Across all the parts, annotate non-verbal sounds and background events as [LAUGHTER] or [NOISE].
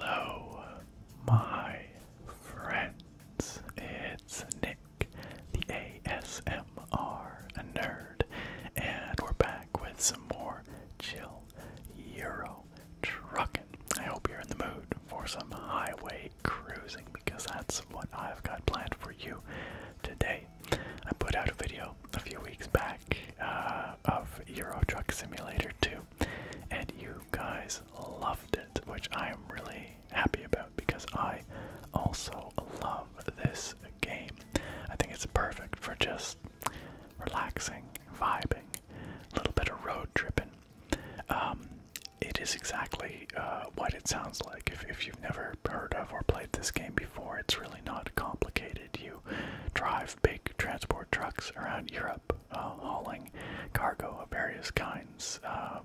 Hello, my friends. It's Nick, the ASMR nerd, and we're back with some more chill Euro trucking. I hope you're in the mood for some highway cruising because that's what I've got planned for you today. I put out a video a few weeks back uh, of Euro Truck Simulator 2, and you guys loved it, which I am really happy about because I also love this game. I think it's perfect for just relaxing, vibing, a little bit of road tripping. Um, it is exactly uh, what it sounds like. If, you've never heard of or played this game before, it's really not complicated. You drive big transport trucks around Europe, uh, hauling cargo of various kinds um,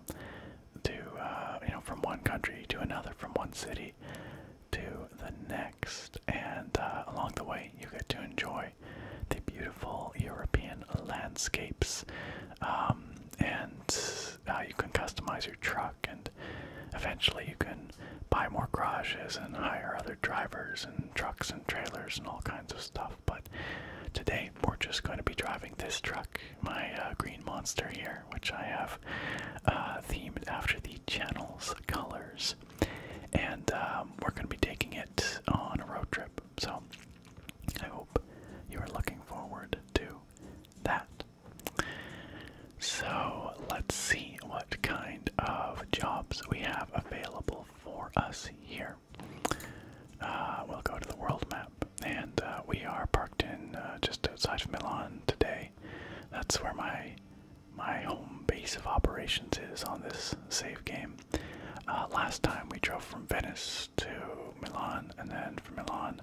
to uh, you know from one country to another, from one city to the next, and uh, along the way, you get to enjoy the beautiful European landscapes. Um, and uh, you can customize your truck, and eventually, you can buy more garages and hire other drivers, and trucks, and trailers, and all kinds of stuff. But today, we're just going to be driving this truck, my uh, green monster here, which I have uh, themed after the channel's colors and um, we're going to be taking it on a road trip. So I hope you are looking forward to that. So let's see what kind of jobs we have available for us here. Uh, we'll go to the world map, and uh, we are parked in uh, just outside of Milan today. That's where my my home base of operations is on this save game. Uh, last time we drove from Venice to Milan, and then from Milan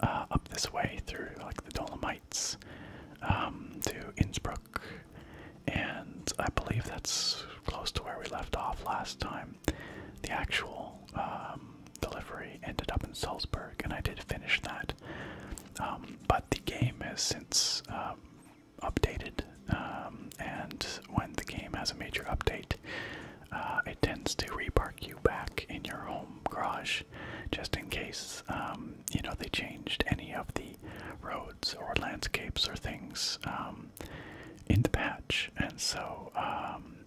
uh, up this way through like the Dolomites um, to Innsbruck, and I believe that's close to where we left off last time. The actual um, delivery ended up in Salzburg, and I did finish that. Um, but the game has since updated, um, and when the game has a major update, uh, it tends to repark you back in your home garage, just in case um, you know they changed any of the roads or landscapes or things um, in the patch. And so,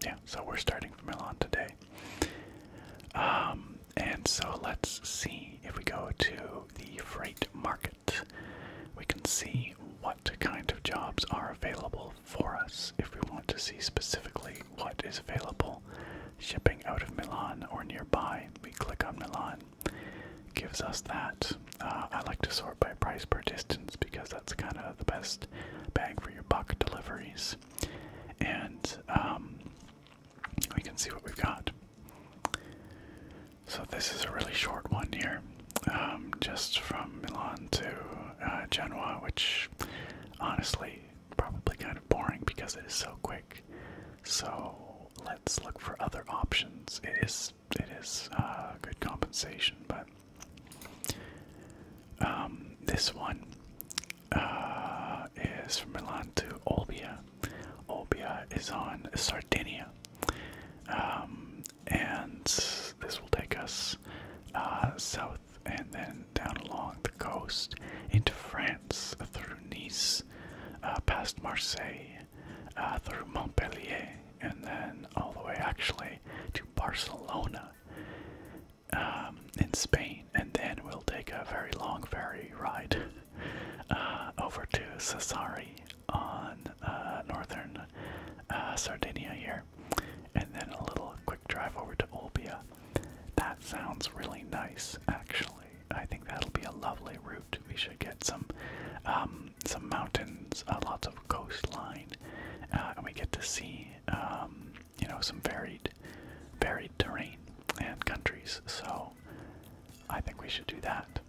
yeah, so we're starting from Milan today. and so let's see if we go to the freight market we can see what kind of jobs are available for us if we want to see specifically what is available. Shipping out of Milan or nearby, we click on Milan, gives us that. Uh, I like to sort by price per distance because that's kind of the best bang for your buck deliveries. And um, we can see what we've got. So this is a really short one here, um, just from Milan to uh, Genoa, which honestly probably kind of boring because it is so quick. So let's look for other options. It is it is uh, good compensation, but um, this one uh, is from Milan to Olbia. Olbia is on Sardinia. Um, and this will take us uh, south and then down along the coast into France, through Nice, uh, past Marseille, uh, through Montpellier, and then all the way actually to Barcelona um, in Spain. And then we'll take a very long ferry ride over to Cesari on uh, northern uh, Sardinia here, and then a little quick drive over to Olbia. That sounds really nice, actually. I think that'll be a lovely route. We should get some um, some mountains, uh, lots of coastline, and we get to see um, you know some varied varied terrain and countries. So I think we should do that.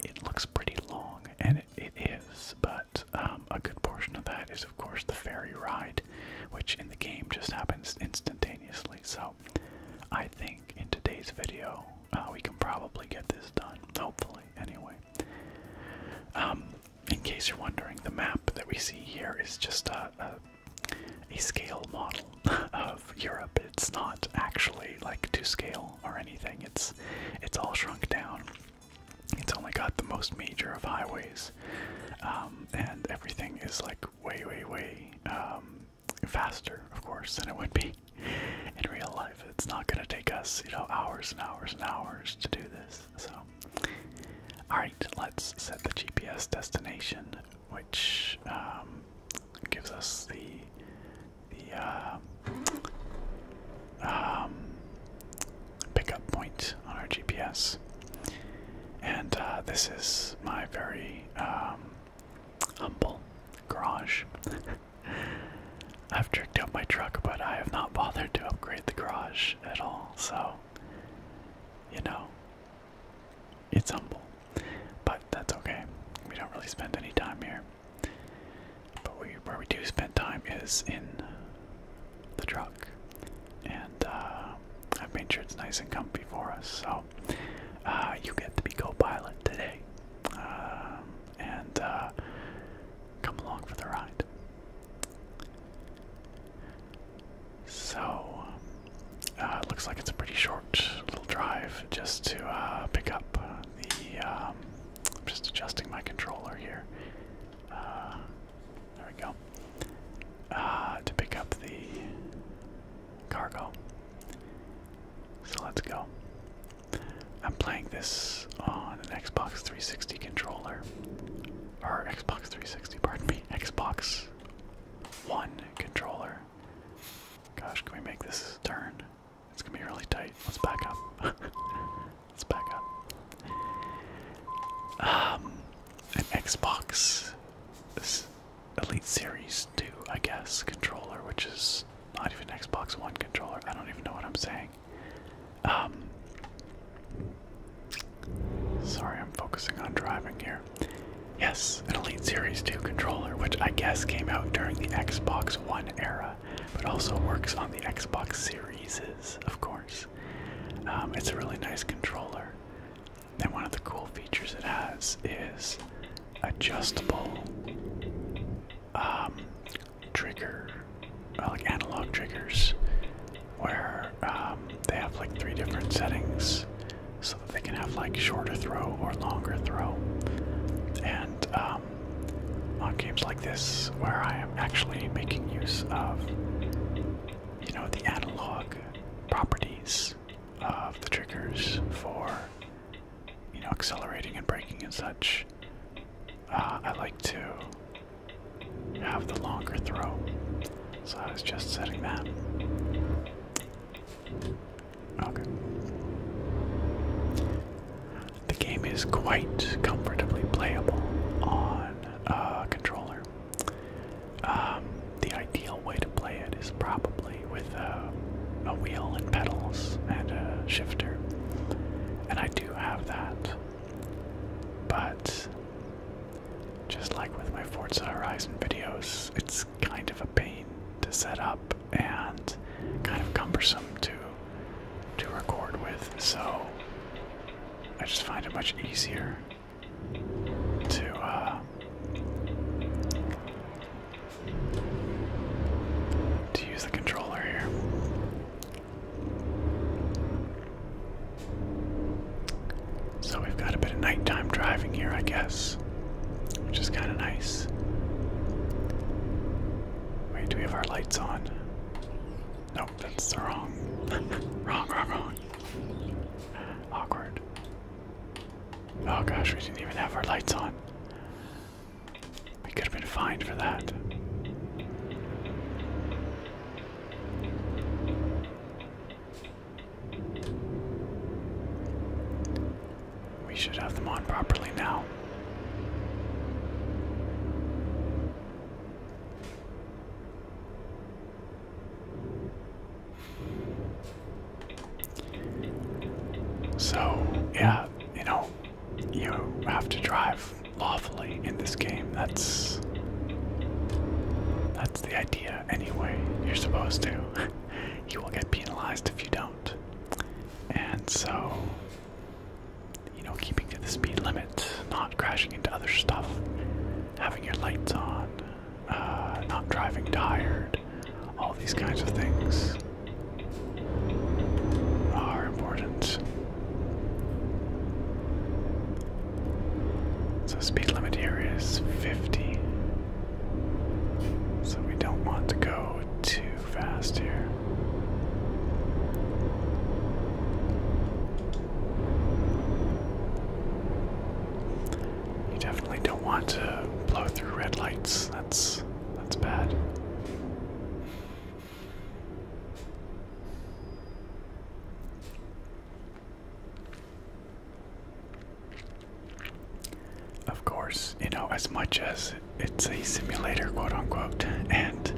It looks pretty long, and it is, but um, a good portion of that is, of course, the ferry ride, which in the game just happens instantaneously. So I think in today's video, uh, we can probably get this done, hopefully, anyway. Um, in case you're wondering, the map that we see here is just a scale model of Europe. It's not actually like to scale or anything. It's it's all shrunk down. It's only got the most major of highways, um, and everything is like way, way, way um, faster, of course, than it would be in real life. It's not going to take us, you know, hours and hours and hours to do this. So, all right, let's set the GPS destination, which um, gives us the the uh, um, pickup point on our GPS. And uh, this is my very um, humble garage. [LAUGHS] I've tricked out my truck, but I have not bothered to upgrade the garage at all, so, you know, it's humble. But that's okay. We don't really spend any time here. But where we do spend time is in the truck, and uh, I've made sure it's nice and comfy for us. So uh, you get to be co-pilot today, um, and uh, come along for the ride. So, it looks like it's a pretty short little drive just to pick up the, um, I'm just adjusting my controller here. Uh, there we go. Uh, to pick up the cargo. So let's go. I'm playing this on an Xbox 360 controller. Or Xbox 360, pardon me. Xbox One controller. Gosh, can we make this turn? It's gonna be really tight. Let's back up. [LAUGHS] Let's back up. Um, an Xbox Elite Series 2, I guess, controller, which is not even Xbox One controller. I don't even know what I'm saying. Um, sorry, I'm focusing on driving here. Yes, an Elite. Series 2 controller, which I guess came out during the Xbox One era, but also works on the Xbox Series, of course. Um, it's a really nice controller. And one of the cool features it has is adjustable um, trigger, uh, like analog triggers, where um, they have like three different settings so that they can have like shorter throw or longer throw. And um, on games like this where I am actually making use of you know the analog properties of the triggers for you know accelerating and braking and such. Uh, I like to have the longer throw, so I was just setting that. Okay. The game is quite comfortably playable on a uh, controller. Um, the ideal way to play it is probably with uh, a wheel and pedals and a shifter, and I do have that. But just like with my Forza Horizon videos, it's kind of a pain to set up and kind of cumbersome to to record with, so I just find it much easier to uh, to use the controller here. So we've got a bit of nighttime driving here, I guess which is kind of nice. Wait, do we have our lights on? Nope, that's the wrong. [LAUGHS] wrong, wrong, wrong. Awkward. Oh gosh, we didn't even have our lights on. We could have been fined for that. We should have them on properly now. So, yeah, you know, you have to drive lawfully in this game. That's that's the idea anyway. You're supposed to. [LAUGHS] you will get penalized if you don't. And so, you know, keeping to the speed limit, not crashing into other stuff, having your lights on, uh, not driving tired, all these kinds of things are important. So, speed limit here is 50. So, we don't want to go to fast here. You definitely don't want to blow through red lights. That's that's bad. Of course, you know, as much as it's a simulator, quote unquote, and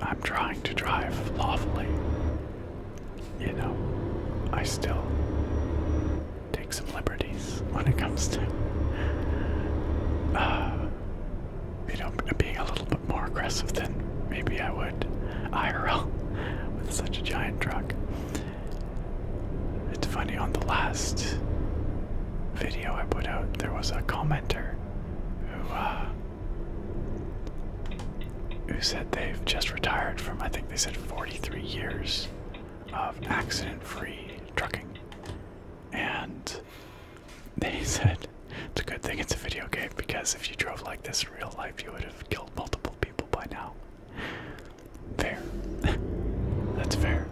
I'm trying to drive lawfully, you know, I still take some liberties when it comes to, uh, you know, being a little bit more aggressive than maybe I would IRL [LAUGHS] with such a giant truck. It's funny, on the last video I put out, there was a commenter who, uh, who said they've just retired from, I think they said 43 years of accident free trucking. And they [LAUGHS] said it's a good thing it's a video game because if you drove like this in real life, you would have killed multiple people by now. Fair. [LAUGHS] That's fair.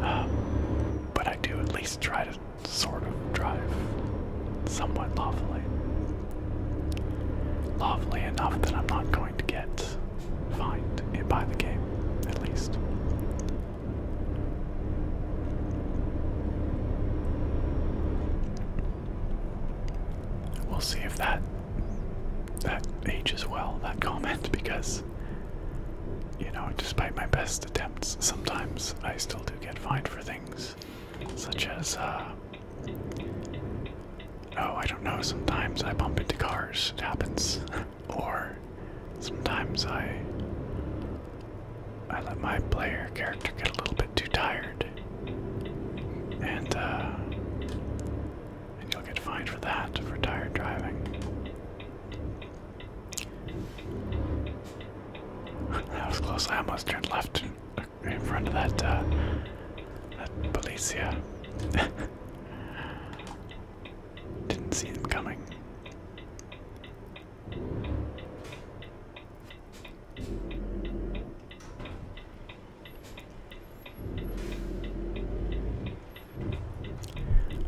Um, but I do at least try to sort of drive somewhat lawfully. Lawfully enough that I'm not going to get fined by the game, at least. We'll see if that that age as well, that comment, because, you know, despite my best attempts, sometimes I still do get fined for things such as, uh, oh, I don't know, sometimes I bump into cars, it happens, [LAUGHS] or sometimes I. I let my player character get a little bit too tired, and uh, and you'll get fined for that for tired driving. [LAUGHS] that was close. I almost turned left in front of that uh, that policia. [LAUGHS] Didn't see him coming.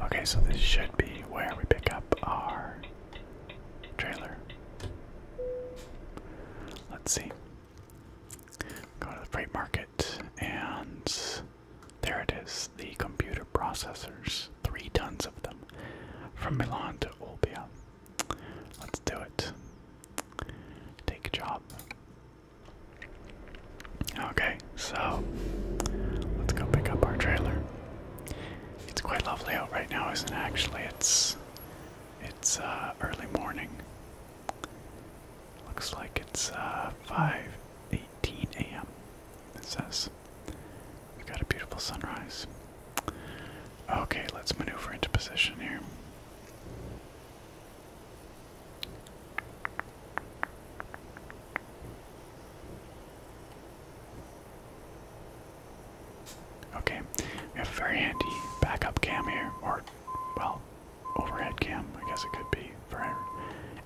Okay, so this should be where we pick up our trailer. Let's see. Go to the freight market, and there it is the computer processors. Three tons of them from Milan to Olbia. Let's do it. Take a job. Okay, so let's go pick up our trailer. It's quite lovely out right now, isn't it? Actually, it's it's uh, early morning. Looks like it's uh, 5:18 a.m. It says we've got a beautiful sunrise. Okay, let's maneuver into position here. Okay, we have a very handy backup cam here, or, well, overhead cam, I guess it could be for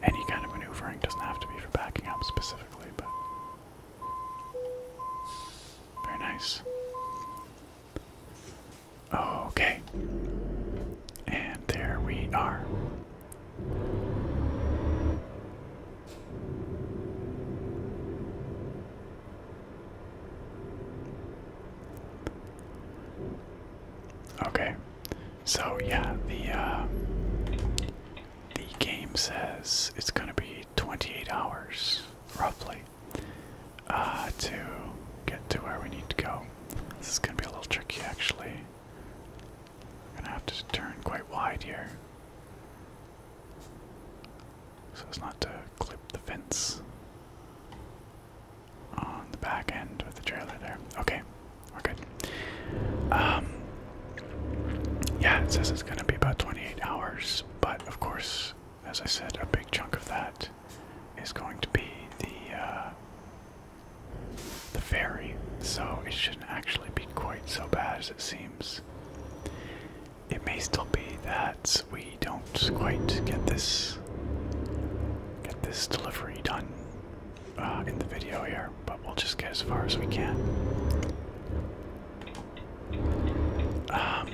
any kind of maneuvering, doesn't have to be for backing up specifically, but. Very nice. Okay. And there we are. Okay. So yeah, the uh, the game says it's gonna be 28 hours, roughly, uh, to get to where we need to go. This is going to be a little tricky, actually. I'm going to have to turn quite wide here. So as not to clip the fence on the back end with the trailer there. Okay, we're good. Um, yeah, it says it's going to be about 28 hours, but of course, as I said, a big chunk of that is going to be the uh, the ferry, so it shouldn't actually be quite so bad as it seems. It may still be that we don't quite get this get this delivery done uh, in the video here, but we'll just get as far as we can. Um,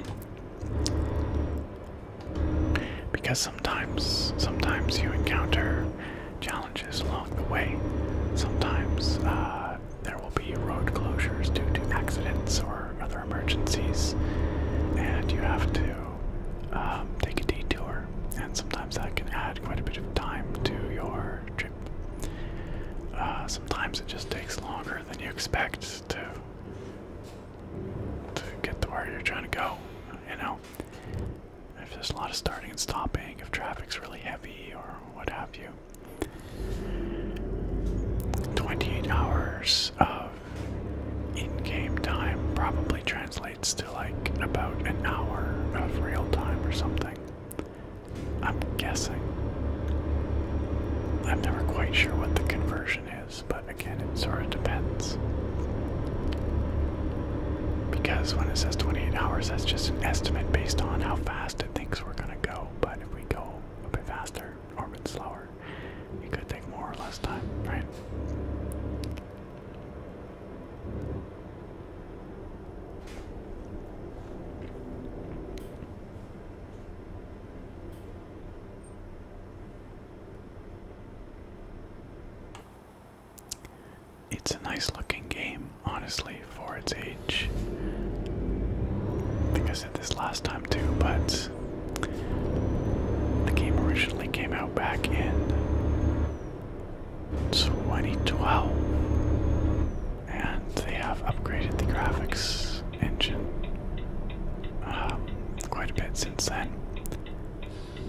because sometimes, sometimes you encounter challenges along the way. Sometimes uh, there will be road closures due to accidents or other emergencies, and you have to um, take a detour. And sometimes that can add quite a bit of time to your trip. Uh, sometimes it just takes longer than you expect to to get to where you're trying to go. You know, if there's a lot of starting and stopping, if traffic's really heavy or what have you. 28 hours of in game time probably translates to like about an hour of real time or something. I'm guessing. I'm never quite sure what the conversion is, but again, it sort of depends. Because when it says 28 hours, that's just an estimate based on how fast it thinks we're gonna go. But if we go a bit faster or a bit slower, it could take more or less time, right? It's a nice looking game, honestly, for its age. I think I said this last time too, but the game originally came out back in 2012, and they have upgraded the graphics engine um, quite a bit since then.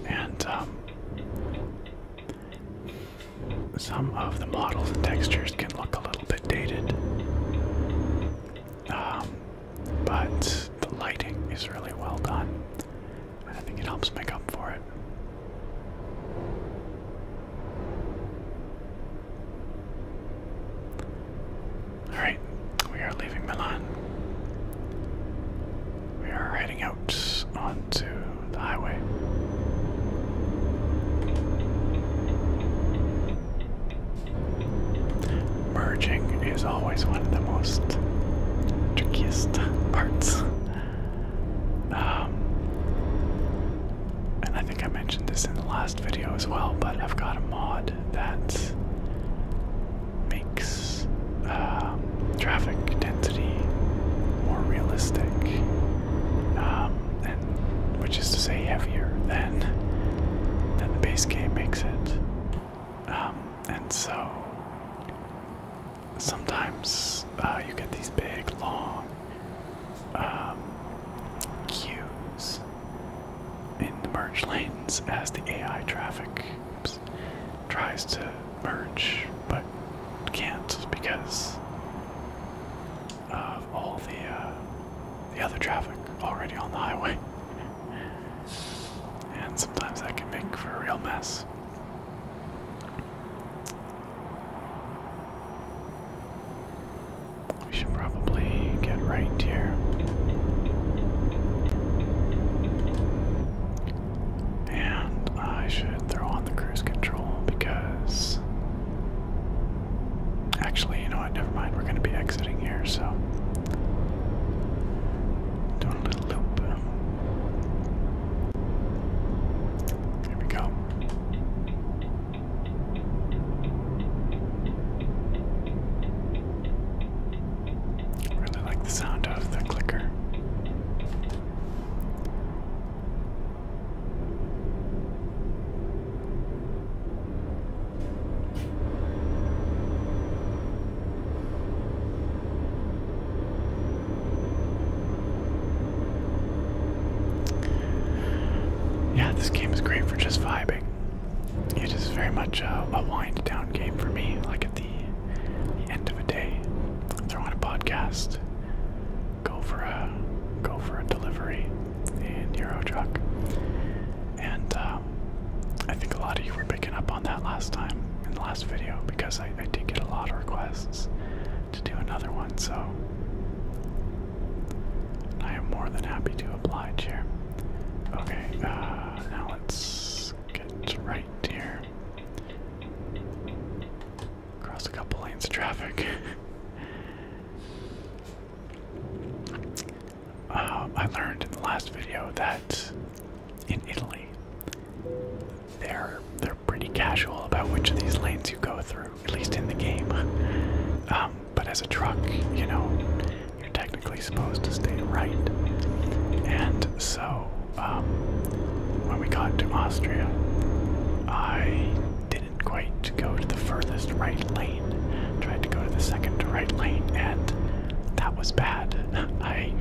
And um, some of the models and textures can look a little bit dated, um, but the lighting is really well done, and I think it helps make up for it. Alright, we are leaving Milan. We are heading onto the highway. Merging is always one of the most trickiest parts. Um, and I think I mentioned this in the last video as well, but I've got a mod that makes um, traffic density more realistic, um, and which is to say heavier than than the base game makes it. Um, and so sometimes uh, you get these big long queues in the merge lanes as the AI traffic tries to merge but can't because of all the uh, the other traffic already on the highway. [LAUGHS] and sometimes that can make for a real mess. We should probably get right here. And I should throw on the cruise control because. Actually, you know what? Never mind. We're going to be exiting here, so. Doing a little loop. Here we go. I really like the sound of the clicker. Yeah, this game is great for just vibing. It is very much a, wind down game for me. Like it the, end of a day, throw on a podcast, go for a go for a delivery in Euro truck, and um, I think a lot of you were picking up on that last time in the last video because I, did get a lot of requests to do another one, so I am more than happy to oblige here. Okay, uh, now let's get right right Cross a couple lanes of traffic. [LAUGHS] Uh, I learned in the last video that in Italy they're they're pretty casual about which of these lanes you go through, at least in the game. [LAUGHS] Um, but as a truck, you know, you're technically supposed to stay right. And so um, when we got to Austria, I didn't quite go to the furthest right lane. Tried to go to the second right lane, and that was bad. [LAUGHS] I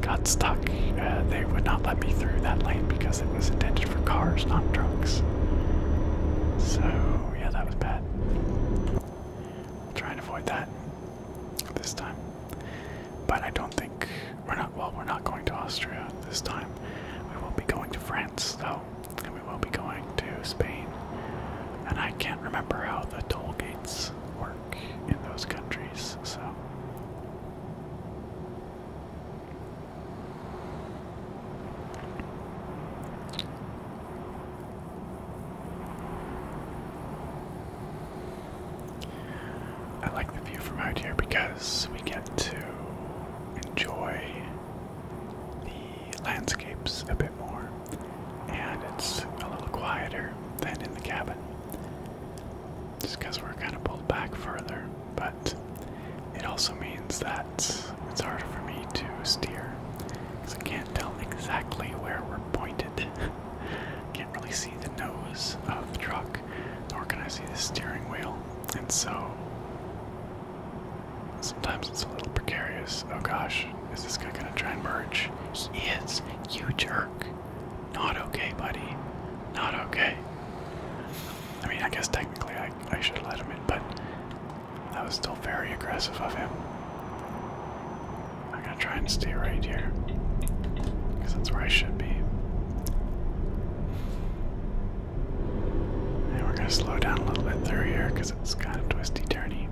got stuck. Uh, they would not let me through that lane because it was intended for cars, not trucks. So, yeah, that was bad. I'll try and avoid that this time. But I don't think we're not well we're not going to Austria this time. We will be going to France though. And we will be going to Spain. And I can't remember how the toll gates work in those countries, so I like the view from out here because we get to enjoy the landscapes a bit more, and it's a little quieter than in the cabin just because we're kind of pulled back further, but it also means that it's harder for me to steer because I can't tell exactly where we're pointed. [LAUGHS] can't really see the nose of the truck, nor can I see the steering wheel. And so sometimes it's a little precarious. Oh gosh, is this guy gonna try and merge? He is, you jerk. Not okay, buddy. Not okay. I mean, I guess technically I, should let him in, but that was still very aggressive of him. I'm gonna try and stay right here. Because that's where I should be. And we're gonna slow down a little bit through here because it's kind of twisty turny.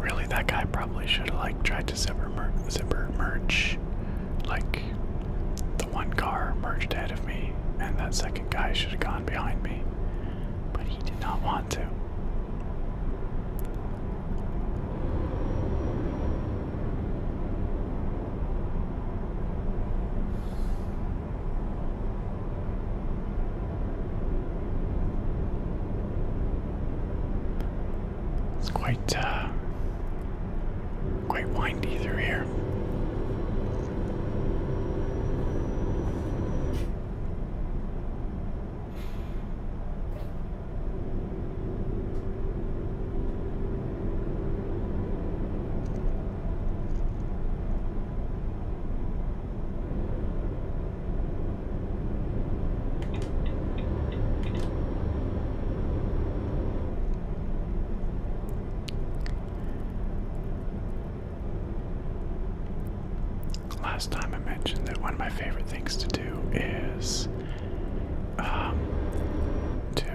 Really, that guy probably should have like tried to separate zipper, merge, like the one car merged ahead of me, and that second guy should have gone behind me, but he did not want to. It's quite uh, quite windy through here. Last time I mentioned that one of my favorite things to do is um, to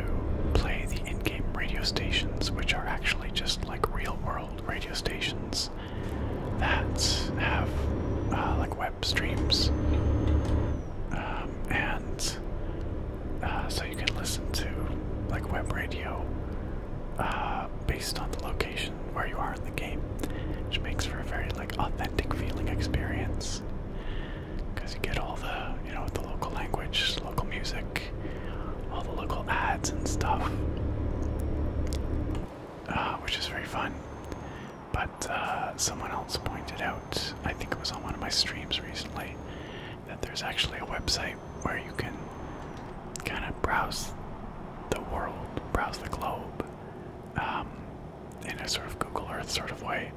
play the in game radio stations, which are actually just like real world radio stations that have uh, like web streams. Um, and uh, so you can listen to like web radio uh, based on the location where you are in the game, which makes for a very like authentic feeling experience because you get all the you know the local language, local music, all the local ads and stuff, uh, which is very fun. But uh, someone else pointed out, I think it was on one of my streams recently, that there's actually a website where you can kind of browse the world, browse the globe um, in a sort of Google Earth sort of way,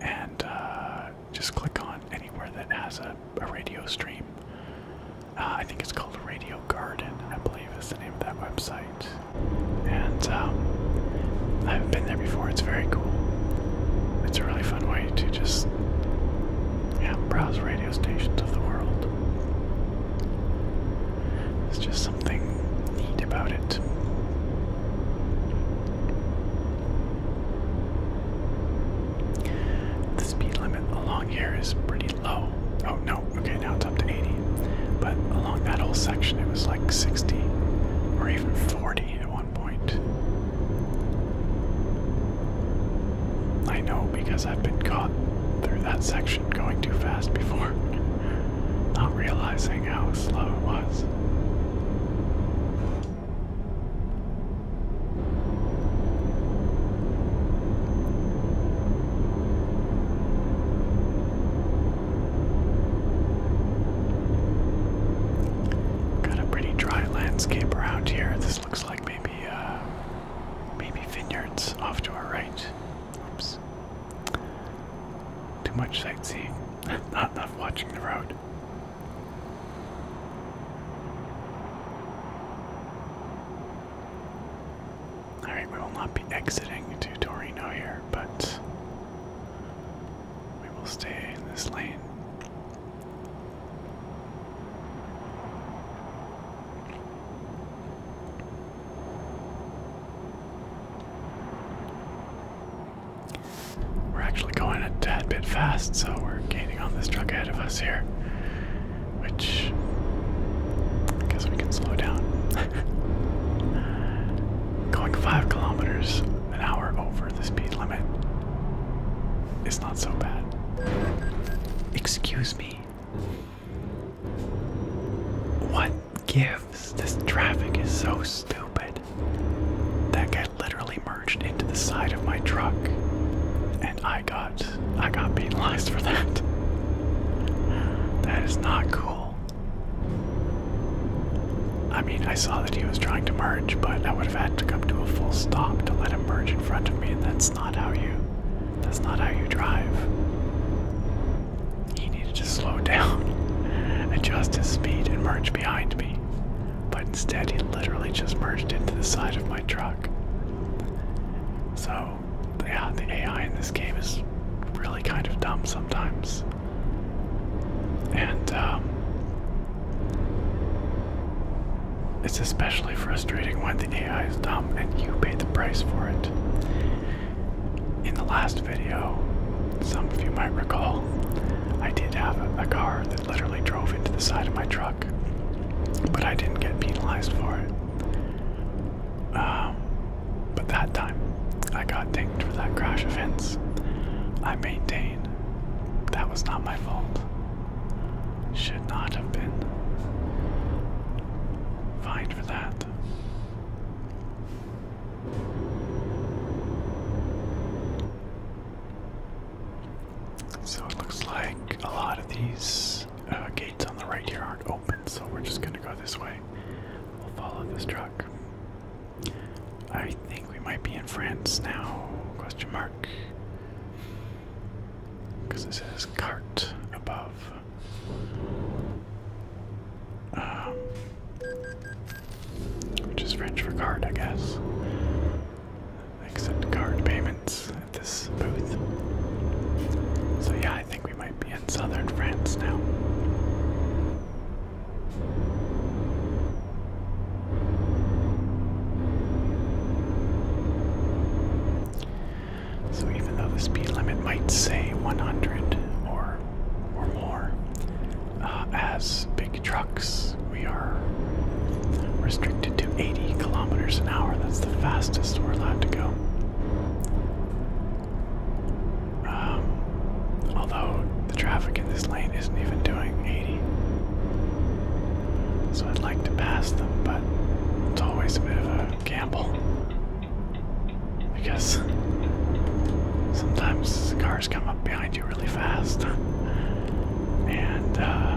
and uh, just click on anywhere that has a, radio stream. Uh, I think it's called Radio Garden, I believe believe is the name of that website. And um, I haven't been there before. It's very cool. It's a really fun way to just browse radio stations of the world. There's just something neat about it. The speed limit along here is pretty low. Oh no, okay, now it's up to 80. But along that whole section, it was like 60 or even 40 at one point. I know because I've been caught through that section going too fast before, [LAUGHS] not realizing how slow it was. Got a pretty dry landscape around here. This looks like maybe uh, maybe vineyards off to our right. Oops. Too much sightseeing. [LAUGHS] Not enough watching the road. Alright, we will not be exiting to Torino here, but we will stay in this lane. We're actually going a tad bit fast, so we're gaining on this truck ahead of us here, which I guess we can slow down. [LAUGHS] Going five kilometers an hour over the speed limit is not so bad. Excuse me. What gives? This traffic is so stupid. That guy literally merged into the side of my truck, and I got I got penalized for that. That is not cool. I mean, I saw that he was trying to merge, but I would have had to come to a full stop to let him merge in front of me, and that's not how you. That's not how you drive. He needed to slow [LAUGHS] down, adjust his speed, and merge behind me. But instead, he literally just merged into the side of my truck. So, yeah, the AI in this game is really kind of dumb sometimes. And um, it's especially frustrating when the AI is dumb and you pay the price for it. In the last video, some of you might recall, I did have a car that literally drove into the side of my truck, but I didn't get penalized for it. Um, but that time, I got dinged for that crash offense. I maintain that was not my fault. Should not have been fined for that. So it looks like a lot of these uh, gates on the right here aren't open so we're just gonna go this way. We'll follow this truck. I think we might be in France now, question mark. Because it says cart above. Um, which is French for "cart," I guess. Except card payments at this booth. So yeah, I think we might be in southern France now. So even though the speed limit might say 100 or or more, uh, as big trucks we are restricted to 80 kilometers an hour. That's the fastest we're allowed to go. Um, although the traffic in this lane isn't even doing 80. So I'd like to pass them, but it's always a bit of a gamble. Because sometimes cars come up behind you really fast. And, uh,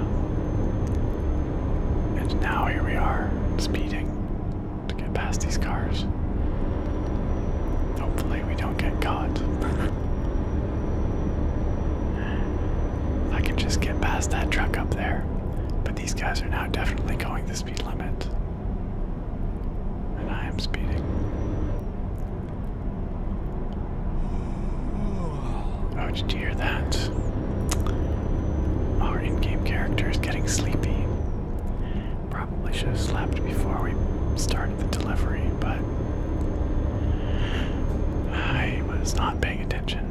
and now here we are, speeding to get past these cars. Hopefully, we don't get caught. I can just get past that truck up there, but these guys are now definitely going the speed limit. And I am speeding. Oh, did hear that? Our in game character is getting sleepy probably should have slept before we started the delivery, but I was not paying attention.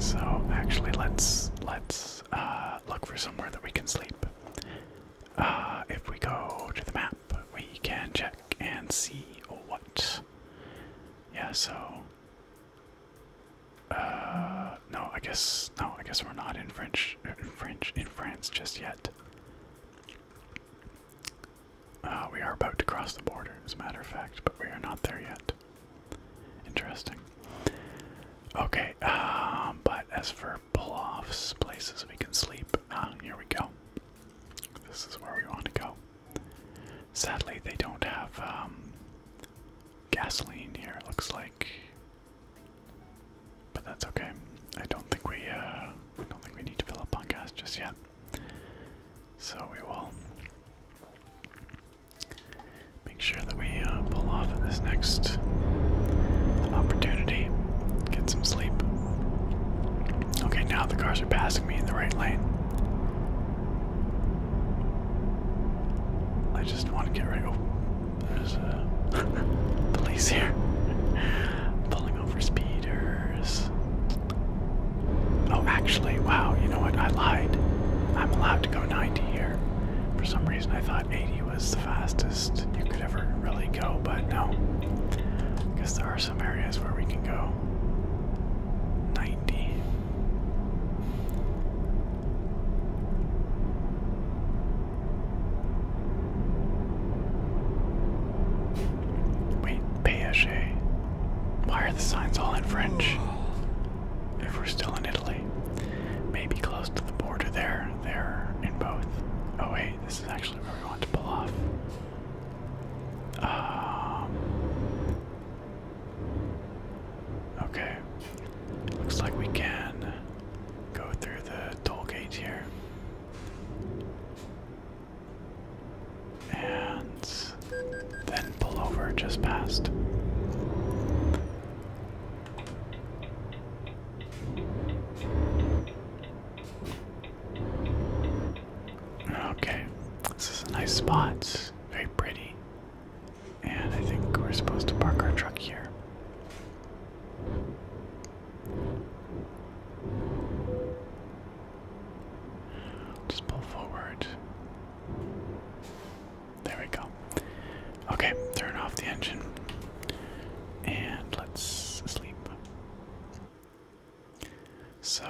So actually, let's let's uh, look for somewhere that we can sleep. Uh, if we go to the map, we can check and see what. Yeah, so uh, no, I guess no, I guess we're not in French, in French, in France just yet. Uh, we are about to cross the border, as a matter of fact, but we are not there yet. Interesting. Okay, um, but as for pull-offs, places we can sleep, ah, here we go. This is where we want to go. Sadly, they don't have um, gasoline here. It looks like but that's okay. I don't think we uh, don't think we need to fill up on gas just yet. So we will make sure that we uh, pull off at this next opportunity. Get some sleep. Okay, now the cars are passing me in the right lane. I just want to get right. Oh, there's a [LAUGHS] police here. Pulling over speeders. Oh, actually, wow, you know what? I lied. I'm allowed to go 90 here. For some reason, I thought 80 was the fastest you could ever really go, but no. Because there are some areas where we can go 90. Wait, Payache. Why are the signs all in French? If we're still in Italy. Maybe close to the border there. They're in both. Oh wait, this is actually where we want to pull off. Um, okay. Looks like we can go through the toll gate here. And then pull over just past. Okay, this is a nice spot, very pretty. And I think we're supposed to park our truck here. Just pull forward. There we go. Okay, turn off the engine. And let's sleep. So.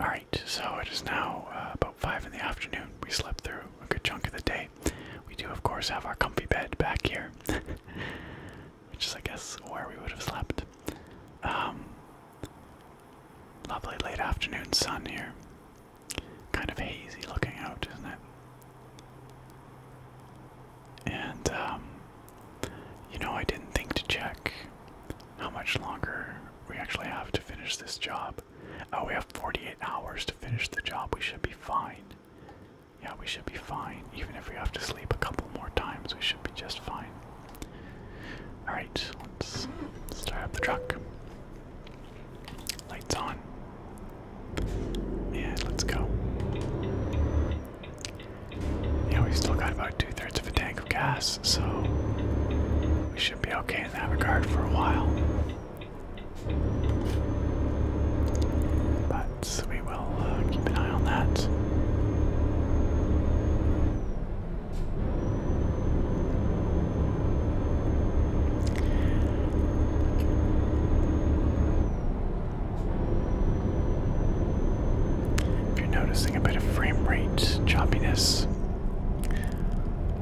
Alright, so it is now uh, about 5 in the afternoon. We slept through a good chunk of the day we do, of course, have our comfy bed back here, [LAUGHS] which is, I guess, where we would have slept. Um, lovely late afternoon sun here. Kind of hazy looking out, isn't it? And, um, you know, I didn't think to check how much longer we actually have to finish this job. Oh, we have 48 hours to finish the job. We should be fine. Yeah, we should be fine. Even if we have to sleep a couple more times, we should be just fine. Alright, let's start up the truck. Lights on. And let's go. Yeah, we've still got about two thirds of a tank of gas, so we should be okay in that regard for a while. But we will uh, keep an eye on that. If you're noticing a bit of frame rate choppiness,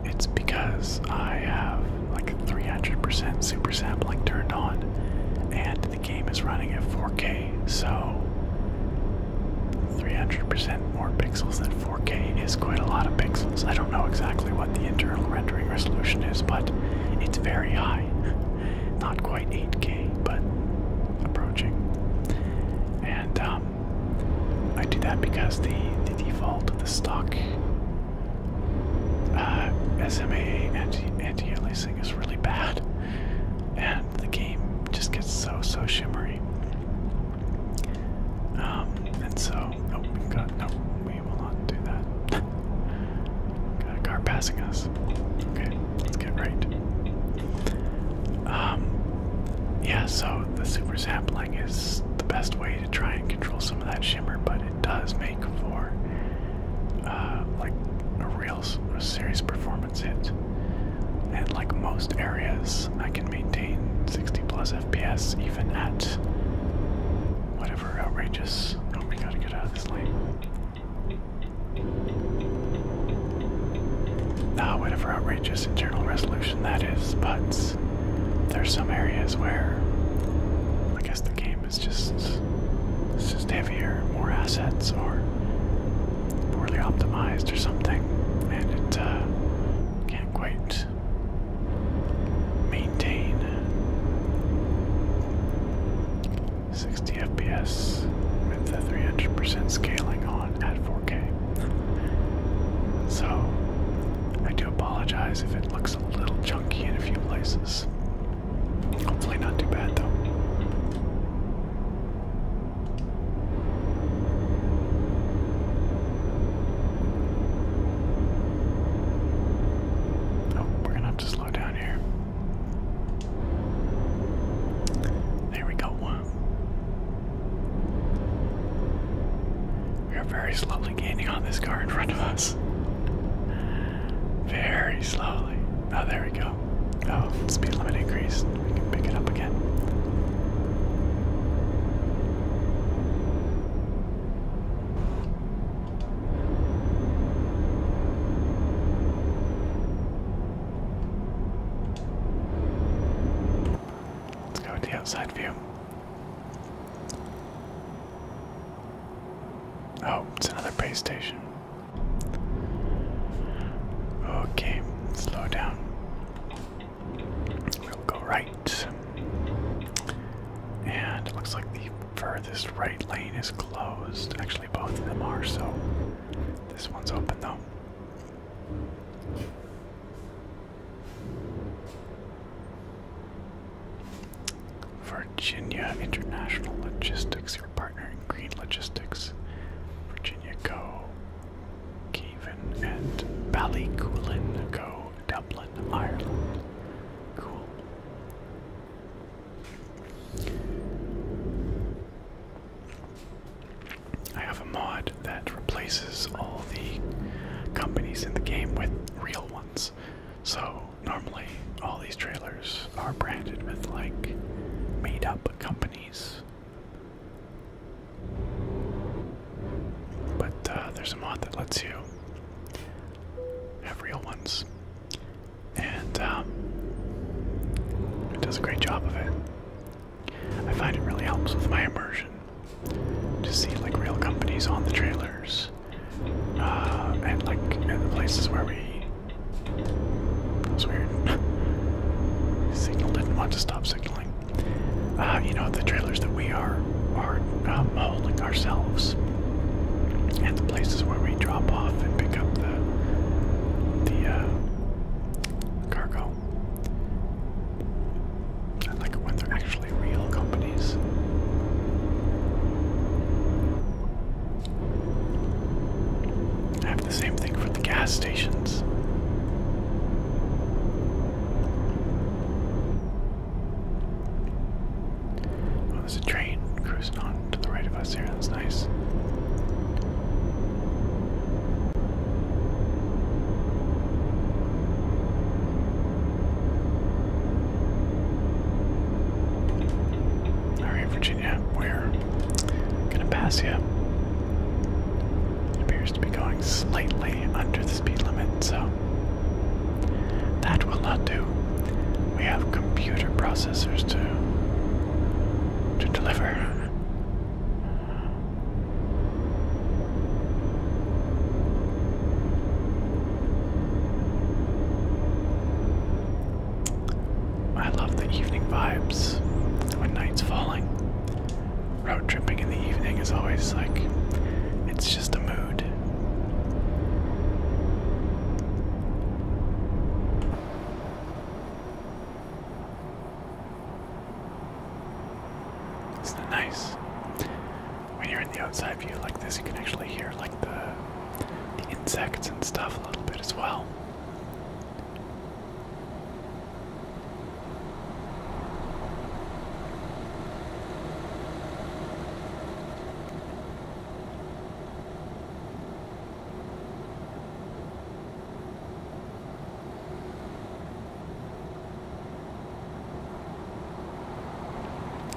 it's because I have like 300% super sampling turned on and the game is running at 4K, so 300% more pixels than 4K is quite a lot of pixels. I don't know exactly what the internal rendering resolution is, but it's very high. [LAUGHS] Not quite 8K, but approaching. And um, I do that because the, the default, the stock uh, SMA anti aliasing is really bad, and the game just gets so so shimmery. Um, and so oh, no, we will not do that. [LAUGHS] car passing us. Okay, let's get right. Um, yeah, so the super sampling is the best way to try and control some of that shimmer, but it does make for uh, like a real a serious performance hit. And like most areas, I can maintain 60 plus FPS even at whatever outrageous. Oh, we gotta get out of this lane. Ah, whatever outrageous internal resolution that is, but it's there's some areas where I guess the game is just just heavier, more assets, or poorly optimized or something, and it uh, can't quite maintain 60 FPS with the 300% scaling on at 4K. So I do apologize if it looks a little chunky in a few places. Hopefully, not too bad though. Oh, we're gonna have to slow down here. There we go. We are very slow gaining on this car in front of us. Very slowly. Oh, there we go. Oh, speed limit increased. We can pick it up again. Let's go with the outside view. Oh, it's another base station. Okay, slow down. We'll go right. And it looks like the furthest right lane is closed. Actually, both of them are, so this one's open though. Virginia International Logistics, your partner in Green Logistics. Virginia Go, Cavan, and Ballycoolin Go, Dublin, Ireland. Cool. I have a mod that replaces all the companies in the game with real ones. So normally all these trailers are branded with like made up companies. But uh, there's a mod that lets you have real ones. And um, it does a great job of it. I find it really helps with my immersion to see like real companies on the trailers uh, and like in the places where we. That was weird. [LAUGHS] Signal didn't want to stop signaling. Uh, you know the trailers that we are are um, holding ourselves, and the places where we drop off and pick up the the uh, cargo. I like when they're actually real companies. I have the same thing for the gas stations. Oh, there's a train cruising on to the right of us here. That's nice. Alright, Virginia, we're gonna pass you. appears to be going slightly under the speed limit, so that will not do. We have computer processors to to deliver. I love the evening vibes when night's falling. Road tripping in the evening is always like, it's just a mood. Isn't it nice? when you're in the outside view like this, you can actually hear like the the insects and stuff a little bit as well.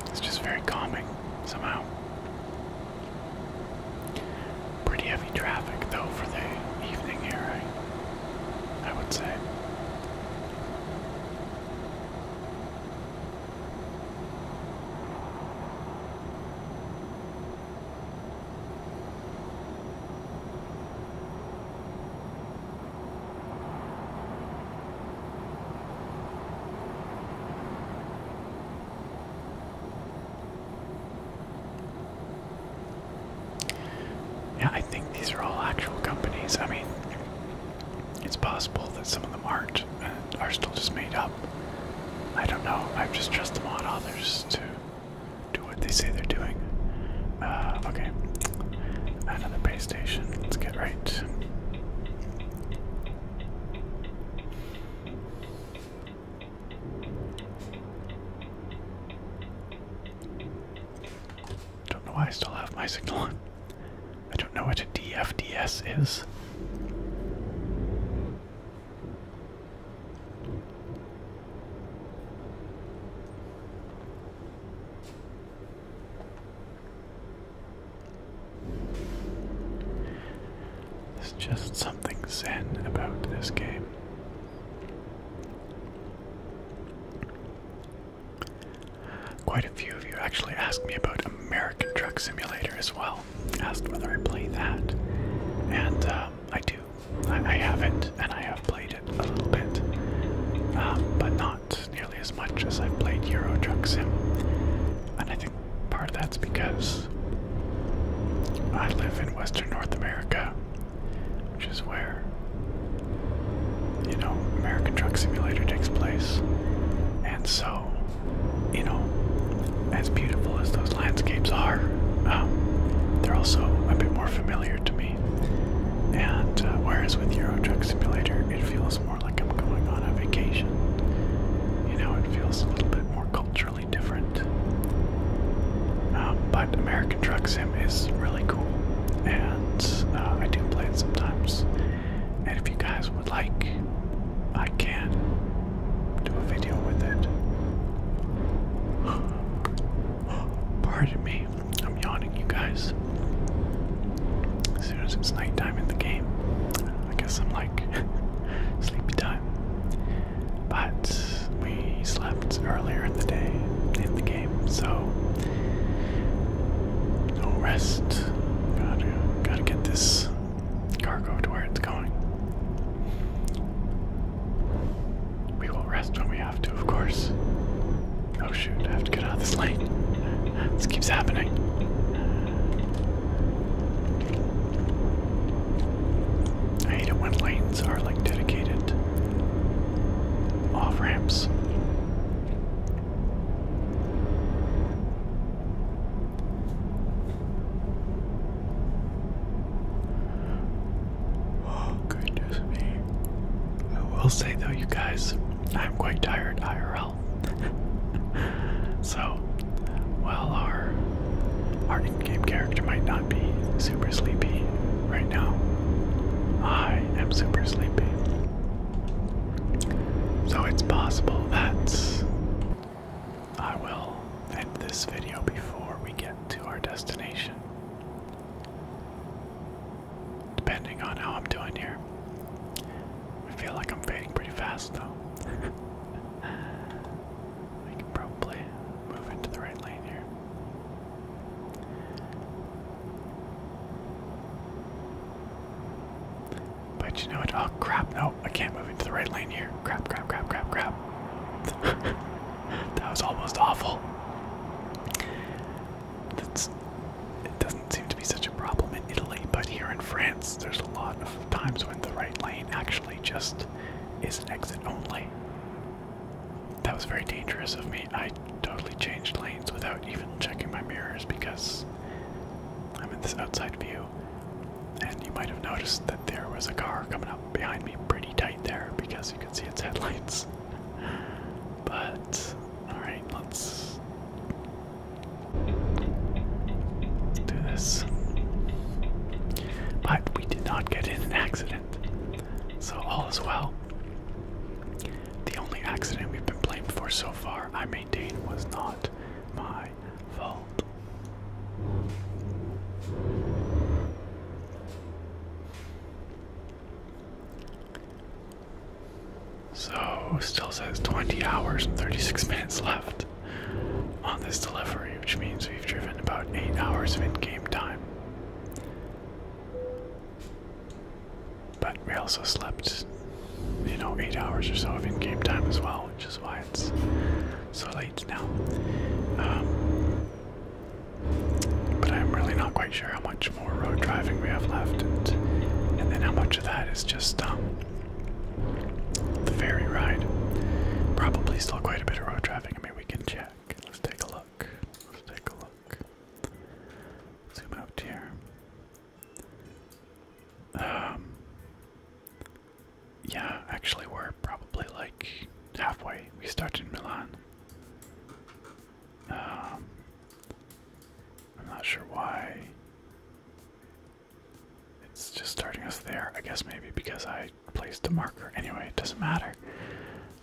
It's just very calming somehow. Pretty heavy traffic though for the evening here, I, would say. Yeah, I think these are all actual companies. I mean, it's possible that some of them aren't and are still just made up. I don't know. I've just trust them on others to do what they say they're doing. Uh, okay. Another pay Let's get right. Don't know why I still have my signal on. I don't know what a DFDS is. There's just something zen about this game. Quite a few of you actually asked me about American Truck Simulator as well. Asked whether I play that, and um, I do. I, haven't, and I have played it a little bit, um, but not nearly as much as I've played Euro Truck Sim. And I think part of that's because I live in Western North America, which is where, you know, American Truck Simulator takes place. And so, you know, as beautiful as those landscapes are, um, they're also a bit more familiar to me. And uh, whereas with Euro Truck Simulator, it feels like I'm going on a vacation. You know, it feels a little bit more culturally different. Um, but American Truck Sim is really cool, and uh, I do play it sometimes. And if you guys would like, I can do a video with it. [GASPS] Pardon me, I'm yawning you guys. As soon as it's nighttime in the game, I guess I'm like [LAUGHS] sleepy time. But we slept earlier in the day in the game, so no rest. Gotta, gotta get this cargo to where it's going. We will rest when we have to, of course. Oh shoot, I have to get out of this lane. This keeps happening. I hate it when lanes are like dedicated off ramps. Oh, goodness me. I will say though, you guys, I'm quite tired IRL. [LAUGHS] so, while our our in-game character might not be super sleepy right now, I am super sleepy. So it's possible that I will end this video before we get to our destination depending on how I'm doing here. I feel like I'm fading pretty fast though. I [LAUGHS] can probably move into the right lane here. But you know what? Oh crap, no, I can't move into the right lane here. Crap, crap, crap, crap, crap. [LAUGHS] that was almost awful it doesn't seem to be such a problem in Italy, but here in France, there's a lot of times when the right lane actually just is an exit only. That was very dangerous of me. I totally changed lanes without even checking my mirrors because I'm in this outside view. And you might have noticed that there was a car coming up behind me pretty tight there because you could see its headlights. [LAUGHS] But, alright, let's Let's do this. But we did not get in an accident. So all is well. The only accident we've been blamed for so far, I maintain, was not my fault. So, still says 20 hours and 36 minutes left on this delivery, which means we've driven about 8 hours of in game time. But we also slept, you know, 8 hours or so of in game time as well, which is why it's so late now. Um, but I'm really not quite sure how much more road driving we have left, and, then how much of that is just um, the ferry ride. Probably still quite a bit of road traffic. I mean, we can check. Let's take a look. Let's take a look. Zoom out here. Um, yeah, actually, we're probably like halfway. We started in Milan. Um, I'm not sure why it's just starting us there. I guess maybe because I placed a marker. Anyway, it doesn't matter.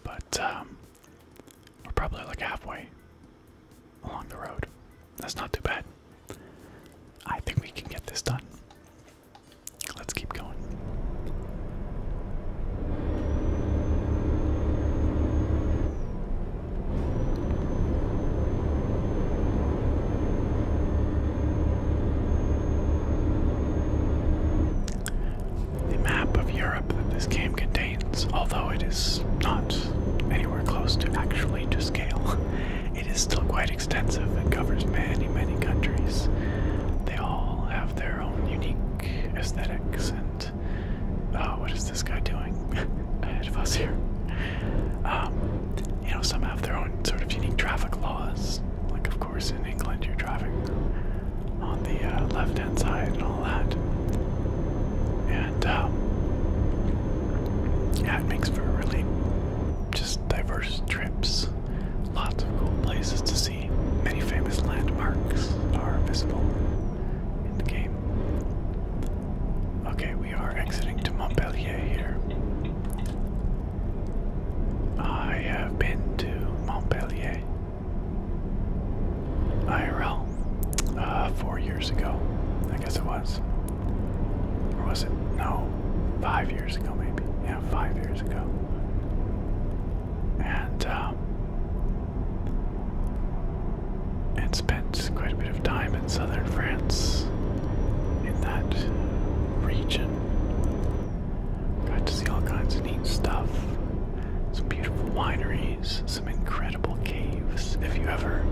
But um, we're probably like halfway along the road. That's not too bad. I think we can get this done. Let's keep going. The map of Europe that this game contains, although it is not anywhere close to actually to scale, [LAUGHS] it is still quite extensive and covers many, many countries. They all have their own unique aesthetics and. Oh, what is this guy doing ahead of us here? Um, you know, some have their own sort of unique traffic laws. Like, of course, in England, you're driving on the uh, left hand side and all that. And, um, yeah, it makes for really just diverse trips. Lots of cool places to see. Many famous landmarks are visible in the game. Okay, we are exiting to Montpellier here. I have been to Montpellier IRL uh, four years ago. I guess it was. Or was it? No, five years ago maybe. Yeah, five years ago. And um, and spent quite a bit of time in southern France, in that region. Got to see all kinds of neat stuff, some beautiful wineries, some incredible caves. If you ever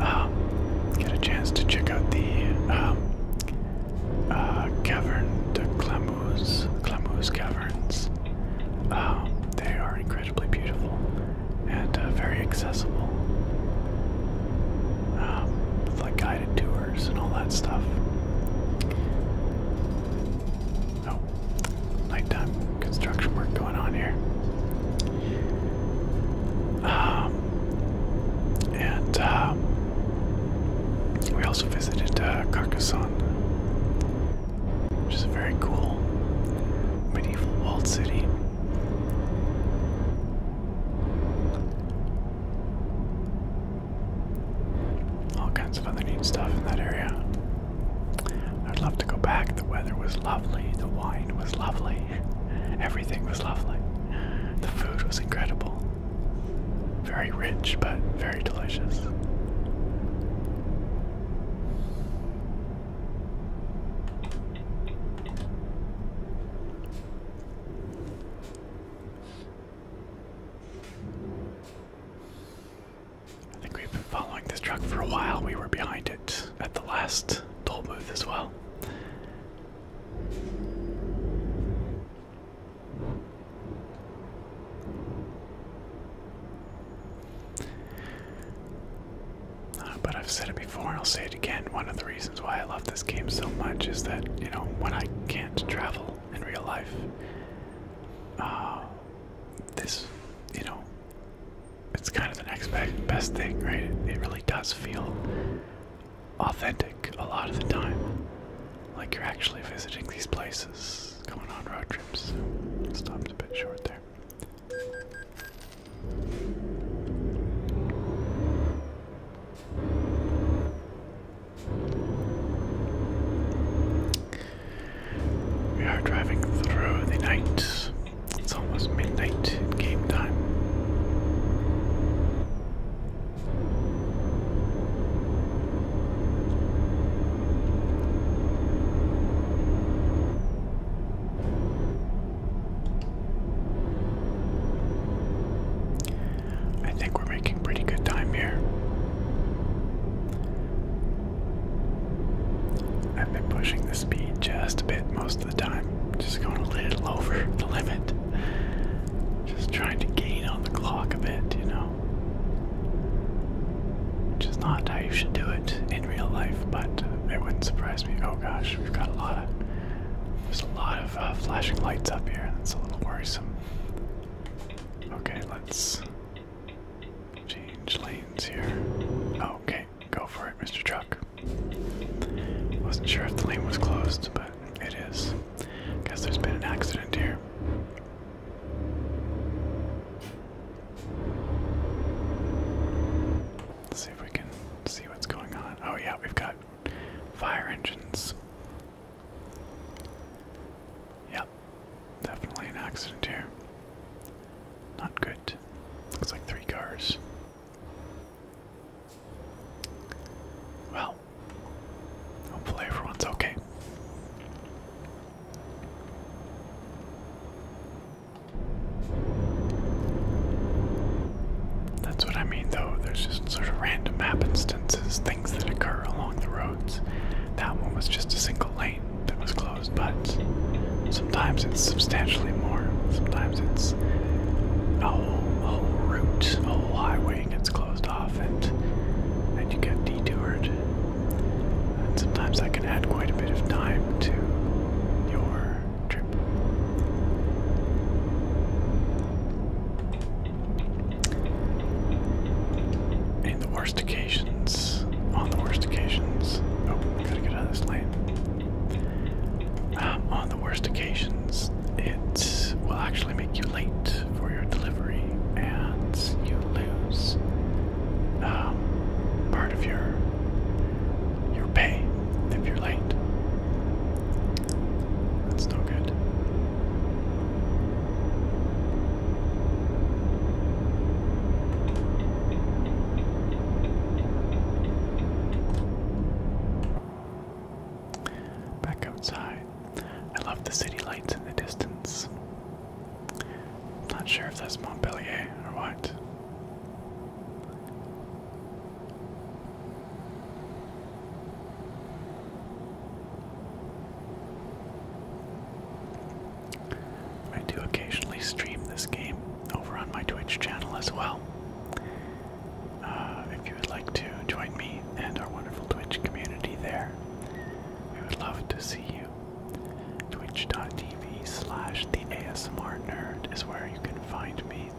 um, get a chance to check out the caverns, um, the uh, Cavern de Caverns, um, they are incredibly beautiful and uh, very accessible. Um, with like guided tours and all that stuff. Oh, nighttime construction work going on here. Um, and uh, we also visited uh, Carcassonne, which is a very cool medieval walled city. All kinds of other neat stuff in that area. I'd love to go back. The weather was lovely, the wine was lovely, everything was lovely. The food was incredible. Very rich, but very delicious. I think we've been following this truck for a while. We were behind it at the last toll booth as well. Uh, but I've said it before, and I'll say it again. One of the reasons why I love this game so much is that, you know, when I can't travel in real life, uh, this, you know, it's kind of the next best thing, right? It, really does feel authentic a lot of the time. Like you're actually visiting these places, going on road trips. So, stops a bit short there. We are driving through the night. It's almost midnight game time. I think we're making pretty good time here. I've been pushing the speed just a bit most of the time, just going a little over [LAUGHS] the limit. Just trying to gain on the clock a bit, you know. Which is not how you should do it in real life, but it wouldn't surprise me. Oh gosh, we've got a lot There's a lot of uh, flashing lights up here. That's a little worrisome. Okay, let's change lanes here. Okay, go for it, Mr. Truck. Wasn't sure if the lane was closed, but it is. Guess there's been an accident here. Let's see if we can see what's going on. Oh, yeah, we've got fire engines. Yep, definitely an accident here. Not good. Looks like three cars. Well, hopefully everyone's okay. That's what I mean, though. There's just sort of random map instances, things that occur along the roads. That one was just a single lane that was closed, but sometimes it's substantially more. Sometimes it's a whole, whole route, whole highway gets closed off, and then you get detoured. And sometimes that can add quite a bit of time to your our the worst occasions, on the worst occasions, oh, gotta get out of this lane. Um, on the worst occasions, it will actually make you late for your delivery, and you lose um, part of your your pay if you're late. That's no good. Back outside. I love the city lights in the distance. Not sure if that's Montpellier or what. I do occasionally stream this game over on my Twitch channel as well. Uh, if you would like to join me and our wonderful Twitch community there, we would love to see you. Twitch.tv twitch.tv slash the ASMR nerd is where you can find me.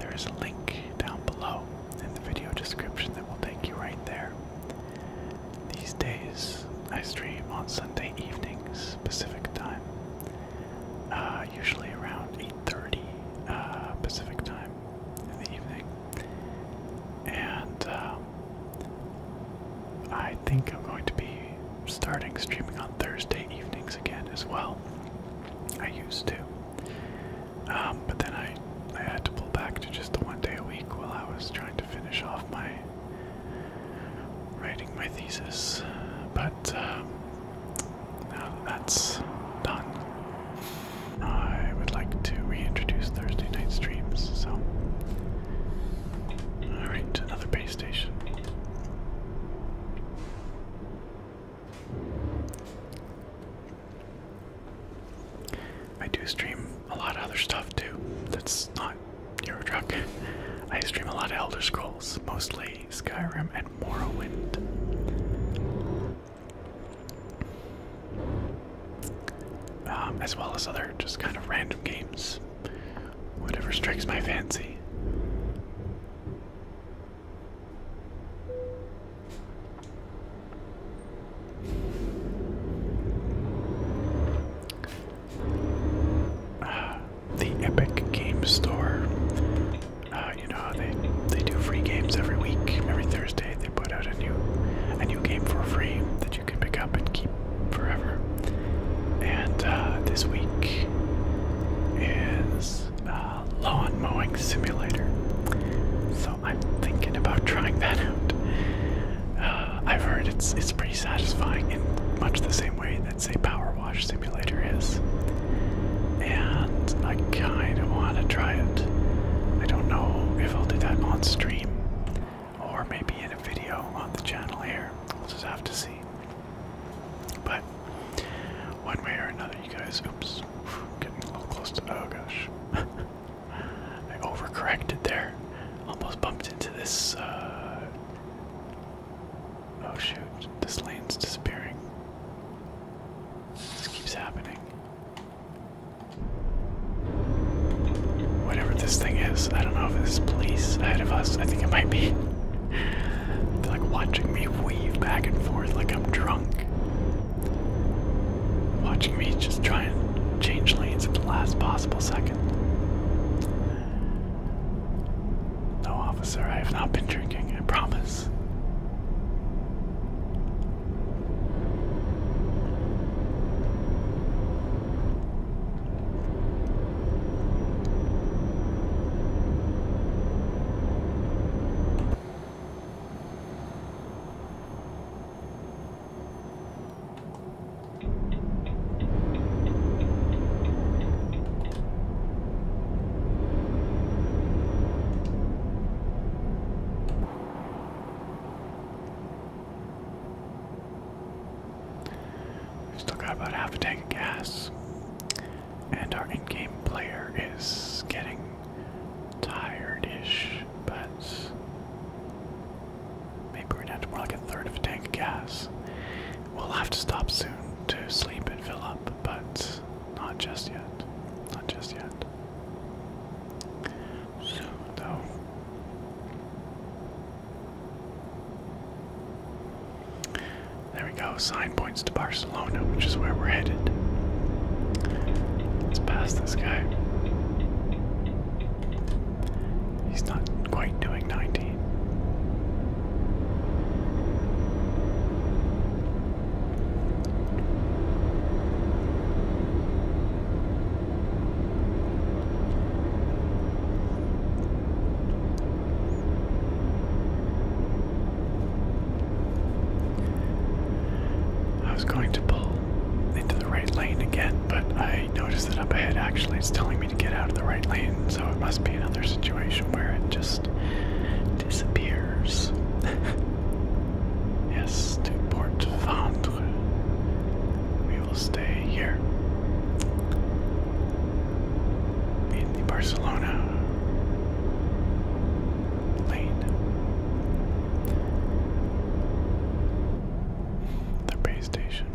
There is a link down below in the video description that will take you right there. These days, I stream on Sunday evenings, Pacific time, uh, usually around 8.30 uh, Pacific time in the evening. And um, I think I'm going to be starting streaming on Thursday evenings again as well. I used to. Um, but then I, I had to pull back to just the one day a week while I was trying to finish off my writing my thesis. But um, now that's done, I would like to reintroduce Thursday night streams. So, all right, another base I do stream a lot of other stuff too. That's not Euro Truck. I stream a lot of Elder Scrolls, mostly Skyrim and Morrowind. Um, as well as other just kind of random games. Whatever strikes my fancy. [SIGHS] the Epic Game Store. Uh, you know how they they do free games every week. Every Thursday they put out a new a new game for free that you can pick up and keep forever. And uh, this week is uh, lawn mowing simulator. So I'm thinking about trying that out. Uh, I've heard it's it's pretty satisfying in much the same way that say power wash simulator is. And I kind of want to try it. I don't know if I'll do that on stream or maybe in a video on the channel here. We'll just have to see. But one way or another, you guys. Oops, getting a little close to. Oh gosh, [LAUGHS] I overcorrected there. Almost bumped into this. Uh, oh shoot, this lane's disappearing. This keeps happening. Whatever this thing is, I don't know if it's police ahead of us. I think it might be like watching me weave back and forth like I'm drunk. Watching me just trying to change lanes at the last possible second. No, officer, I have not been drinking, I promise. We Still got about half a tank of gas and our in-game player is getting tired-ish, but maybe we're down to more like a third of a tank of gas. We'll have to stop soon to sleep and fill up, but not just yet. Not just yet. Soon, though. There we go, sign points to Barcelona, which is where we're headed. Let's pass this guy. He's not quite doing 19. I was going to pull into the right lane again, but I noticed that up ahead actually it's telling me to get out of the right lane, so it must be another situation where it just disappears. [LAUGHS] yes, to Port Vendres. We will stay here in Barcelona Lane. The base station.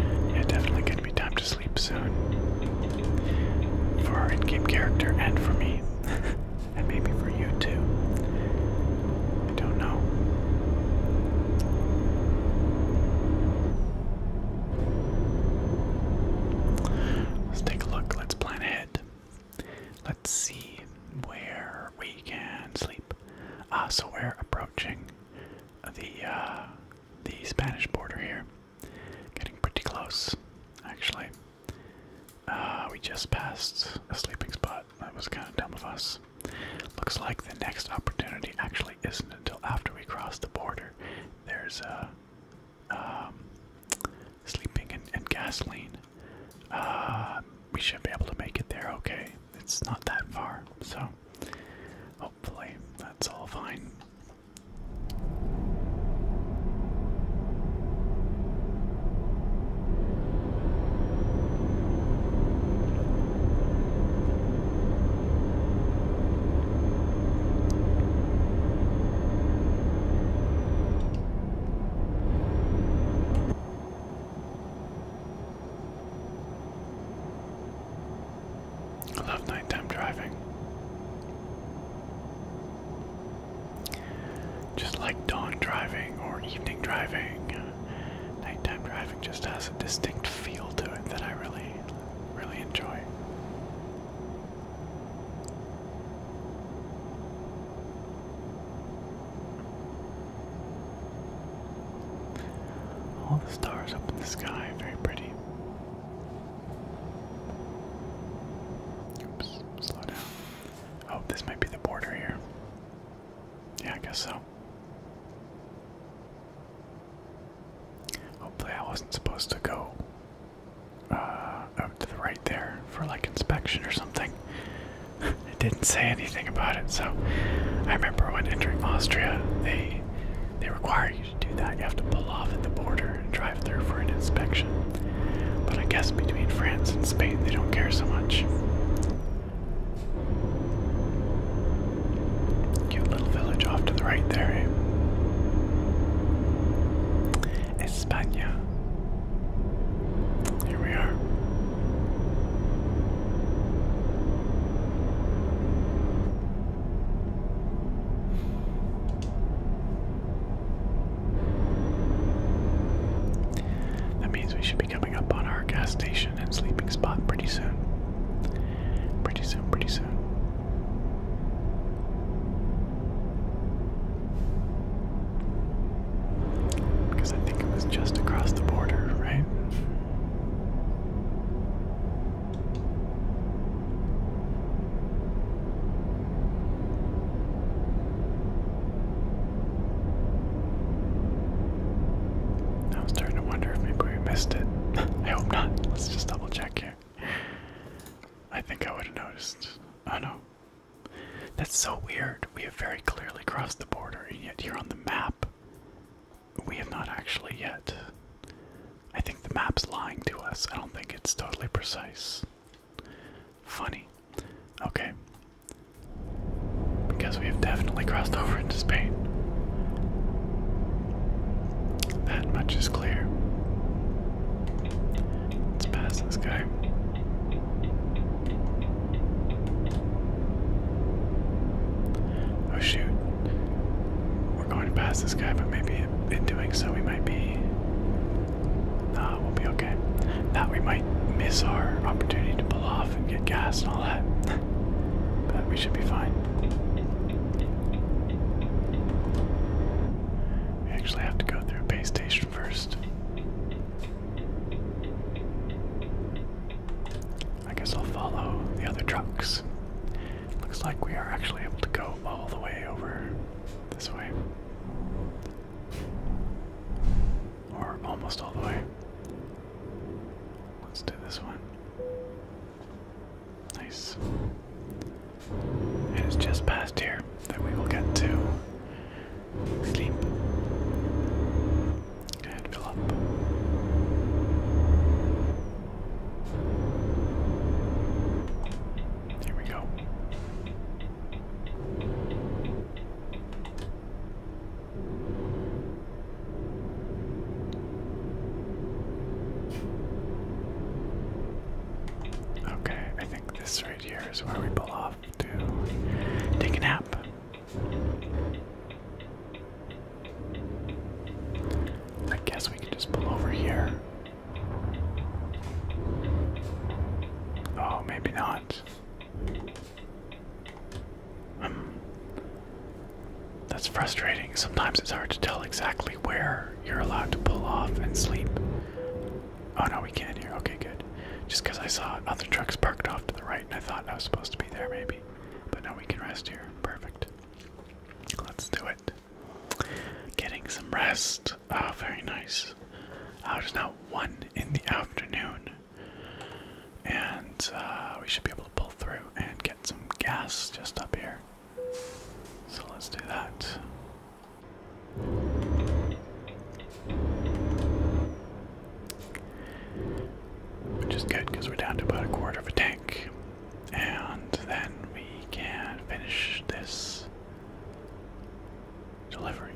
Yeah, definitely gonna be time to sleep soon. For our in-game character and for me. [LAUGHS] and maybe for you too. I don't know. Let's take a look. Let's plan ahead. Let's see where we can sleep. Ah, so we're approaching the uh, the Spanish border here. Getting pretty close, actually. Uh, we just passed a sleeping spot that was kind of dumb of us. Looks like the next opportunity actually isn't until after we cross the border. There's a uh, um, sleeping and, and gasoline. Uh, we should be able to make it there. Okay, it's not that far, so hopefully that's all fine. I love nighttime driving. Just like dawn driving or evening driving, nighttime driving driving just has a distinct feel to it that I really, really enjoy. All the stars up in the sky, very pretty. Oops, slow down. Oh, this might be the border here. Yeah, I guess so. Hopefully, I wasn't supposed to go out uh, to the right there for like inspection or something. [LAUGHS] it didn't say anything about it, so I remember when entering Austria, they they require you to do that. You have to pull off at the border and drive through for an inspection. But I guess between France and Spain, they don't care so much. Cute little village off to the right there. Eh? España. Here we are. That means we should coming up on our gas station and sleeping spot pretty soon. Pretty soon, pretty soon. Because I think it was just across the border, right? I was starting to wonder if maybe we missed it. [LAUGHS] I hope not. Let's just double check here. I think I would have noticed. Oh no. That's so weird. We have very clearly crossed the border, and yet here on the map, we have not actually yet. I think the map's lying to us. I don't think it's totally precise. Funny. Okay, because we have definitely crossed over into Spain. That much is clear. Let's pass this guy. Oh shoot. We're going to pass this guy, but maybe in doing so we might be. Nah, we'll be okay. Now we might miss our opportunity to off and get gas and all that. [LAUGHS] but we should be fine. We actually have to go through a base station first. I guess I'll follow the other trucks. Looks like we are actually able to go all the way over this way. Or almost all the way. Let's do this one. Nice. It is just past here that we will get to sleep and fill up. Here we go. Okay, I think this right here is where we pull off to take a nap. I guess we can just pull over here. Oh, maybe not. Um, that's frustrating. Sometimes it's hard to tell exactly where you're allowed to pull off and sleep. Oh no, we can here. Okay, good. Just because I saw other trucks parked off to the right and I thought I was supposed to be there maybe. But now we can rest here. Perfect. Let's do it. Getting some rest. Oh, very nice. Oh, there's not one in the afternoon. And uh, we should be able to pull through and get some gas just up here. So let's do that. Which is good because we're down to about a quarter of a tank. And then we can finish this delivery.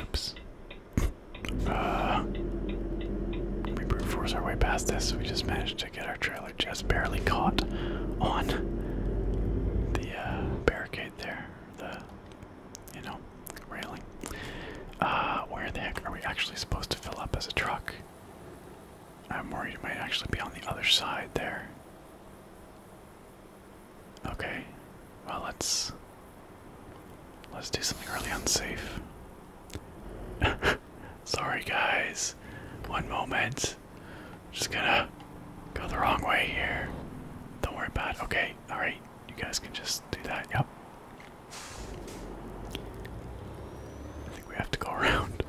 Oops. Uh, we brute force our way past this. We just managed to get our trailer just barely caught on the uh, barricade there. The, you know, railing. Uh, where the heck are we actually supposed to fill up as a truck? I'm worried it might actually be on the other side there. Okay. Well, let's let's do something really unsafe. [LAUGHS] Sorry, guys. One moment. just gonna go the wrong way here. Don't worry about it. Okay. All right. You guys can just do that. Yep. I think we have to go [LAUGHS] around.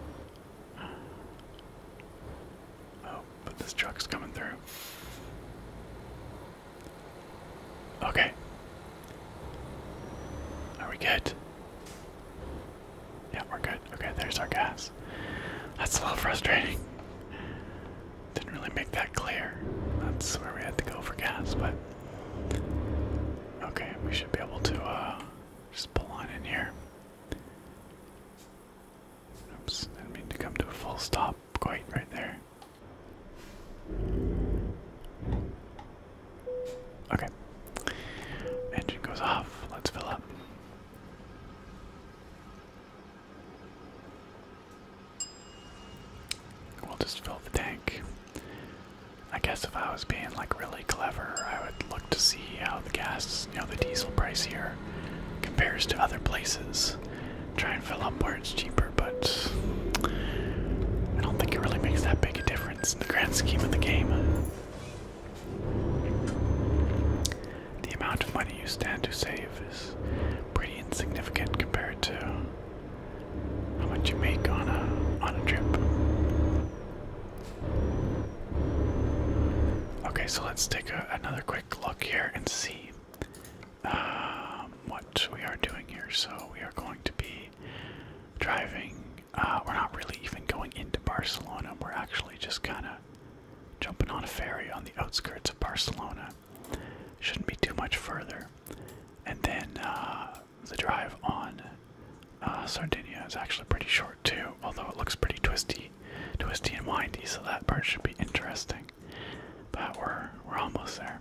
Oh, but this truck's coming through. Okay. Are we good? Yeah, we're good. Okay, there's our gas. That's a little frustrating. Didn't really make that clear. That's where we had to go for gas, but. Okay, we should be able to uh, just pull on in here. Oops, didn't mean to come to a full stop quite right there. Okay. Engine goes off. Let's fill up. We'll just fill the tank. I guess if I was being like really clever, I would look to see how the gas, you know, the diesel price here compares to other places. Try and fill up where it's cheaper, but I don't think it really makes that big a difference in the grand scheme of the game. The amount of money you stand to save is pretty insignificant compared to how much you make on a on a trip. Okay, so let's take another quick look here and see um, what we are doing here. So we are going to be driving. Uh, we're not really even going into Barcelona. We're actually just kind of jumping on a ferry on the outskirts of Barcelona. Shouldn't be too much further. And then uh, the drive on uh, Sardinia is actually pretty short short too, although it looks pretty twisty, twisty and windy. So that part should be interesting. But we're we're almost there.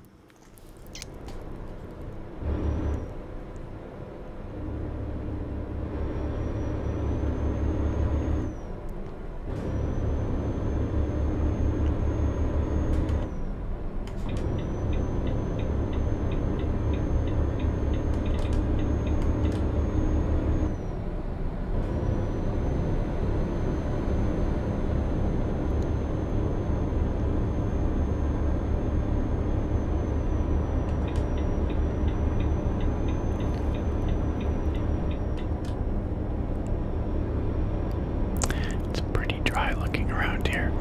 It's pretty dry looking around here.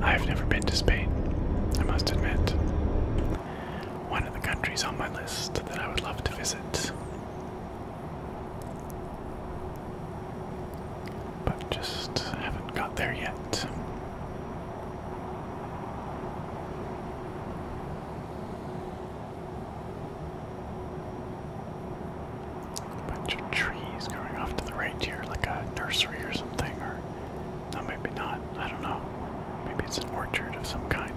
I've never been to Spain, I must admit one of the countries on my list that I would love to visit. But just haven't got there yet. A bunch of trees going off to the right here, like a nursery or something, or no, maybe not. I don't know. Maybe it's an orchard of some kind.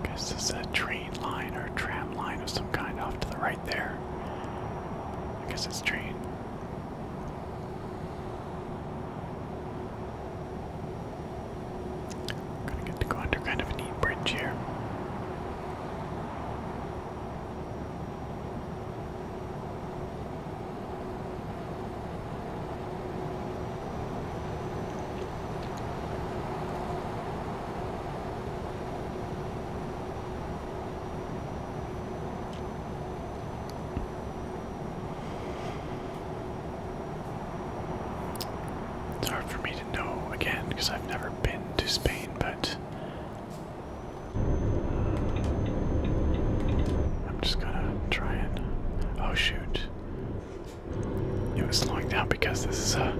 I guess there's a train line or tram line of some kind off to the right there. I guess it's train. Gonna get to go under kind of a neat bridge here. It's hard for me to know again because I've never been to Spain, but I'm just gonna try it. Oh shoot. It was slowing down because this is a.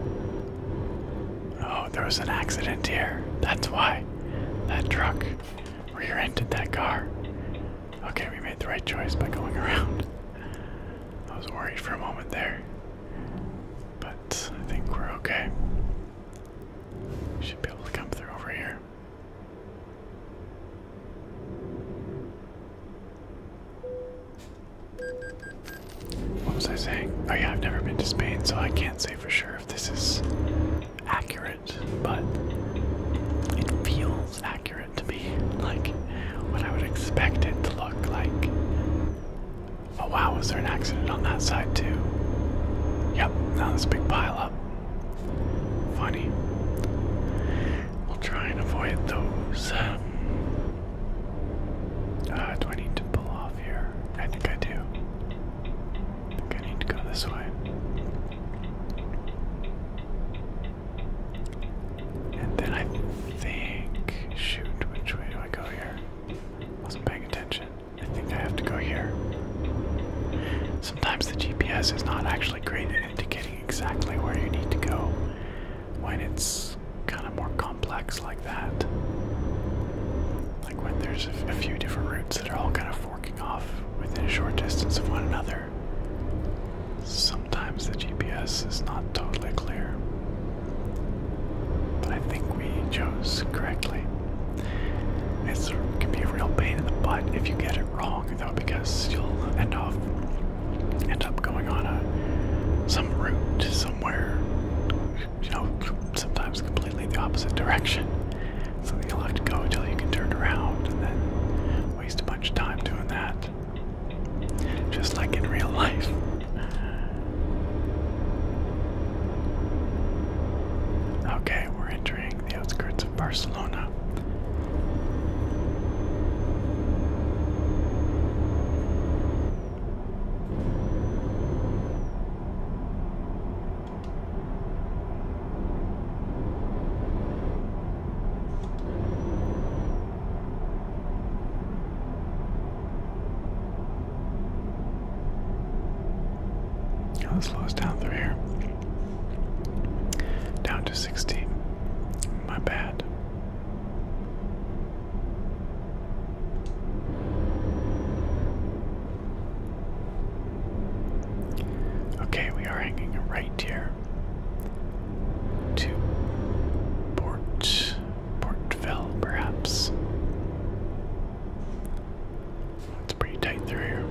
Oh, there was an accident here. That's why. That truck rear ended that car. Okay, we made the right choice by going around. I was worried for a moment there. But I think we're okay. We should be able to come through over here. What was I saying? Oh, yeah, I've never been to Spain, so I can't say for sure if this is accurate, but it feels accurate to me, like what I would expect it to look like. Oh wow, was there an accident on that side too? Yep, now this big pile up. Funny. We'll try and avoid those. Um, uh, do I need to pull off here? I think I do. think I need to go this way. And then I think, shoot, which way do I go here? Wasn't paying attention. I think I have to go here. Sometimes the GPS is not actually great at indicating exactly where you need to go when it's kind of more complex like that. Like when there's a, few different routes that are all kind of forking off within a short distance of one another. Some sometimes the GPS is not totally clear. But I think we chose correctly. it can be a real pain in the butt if you get it wrong, though, because you'll end off end up going on a some route to somewhere. You know, sometimes completely the opposite direction. So you'll have to go until you can turn around, and then waste a bunch of time doing that. Just like in real life. Okay, we're entering the outskirts of Barcelona let's slow us down through here. Down to 16. My bad. Okay, we are hanging right here to Port Portville, perhaps. It's pretty tight through here.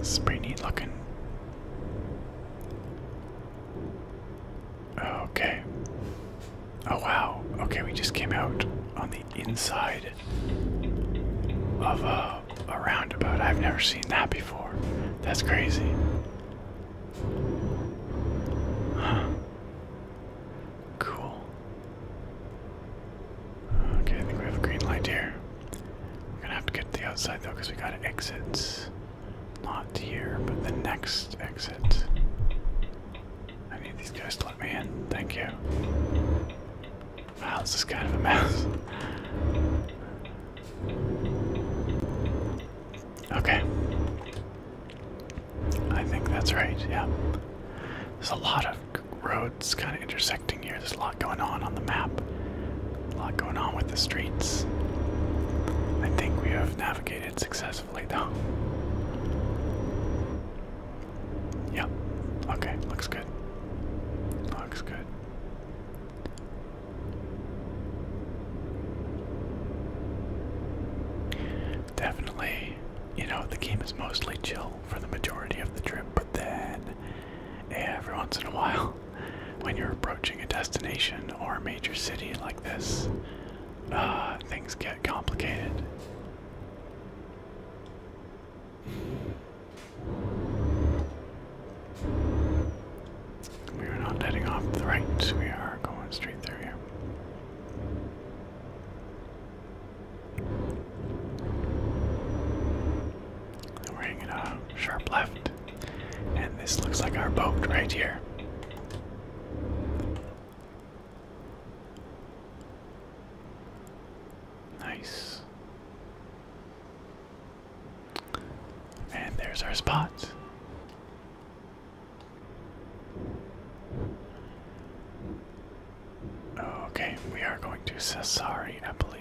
It's pretty neat looking. Okay. Oh wow. Okay, we just came out on the inside of a, roundabout. I've never seen that before. That's crazy. Huh. Cool. Okay, I think we have a green light here. We're gonna have to get to the outside though, because we got exits. Not here, but the next exit. I need these guys to let me in. Thank you. Wow, this is kind of a mess. Okay. I think that's right, yeah. There's a lot of roads kind of intersecting here. There's a lot going on on the map. A lot going on with the streets. I think we have navigated successfully, though. Yep. Okay, looks good. Looks good. Definitely, you know, the game is mostly chill for the majority of the trip, but then every once in a while [LAUGHS] when you're approaching a destination or a major city like this, uh, things get complicated. We are not heading off the right, we are going straight through here. We're hanging a sharp left. And this looks like our boat right here. Nice. And there's our spot. Okay, we are going to Cesari, I believe.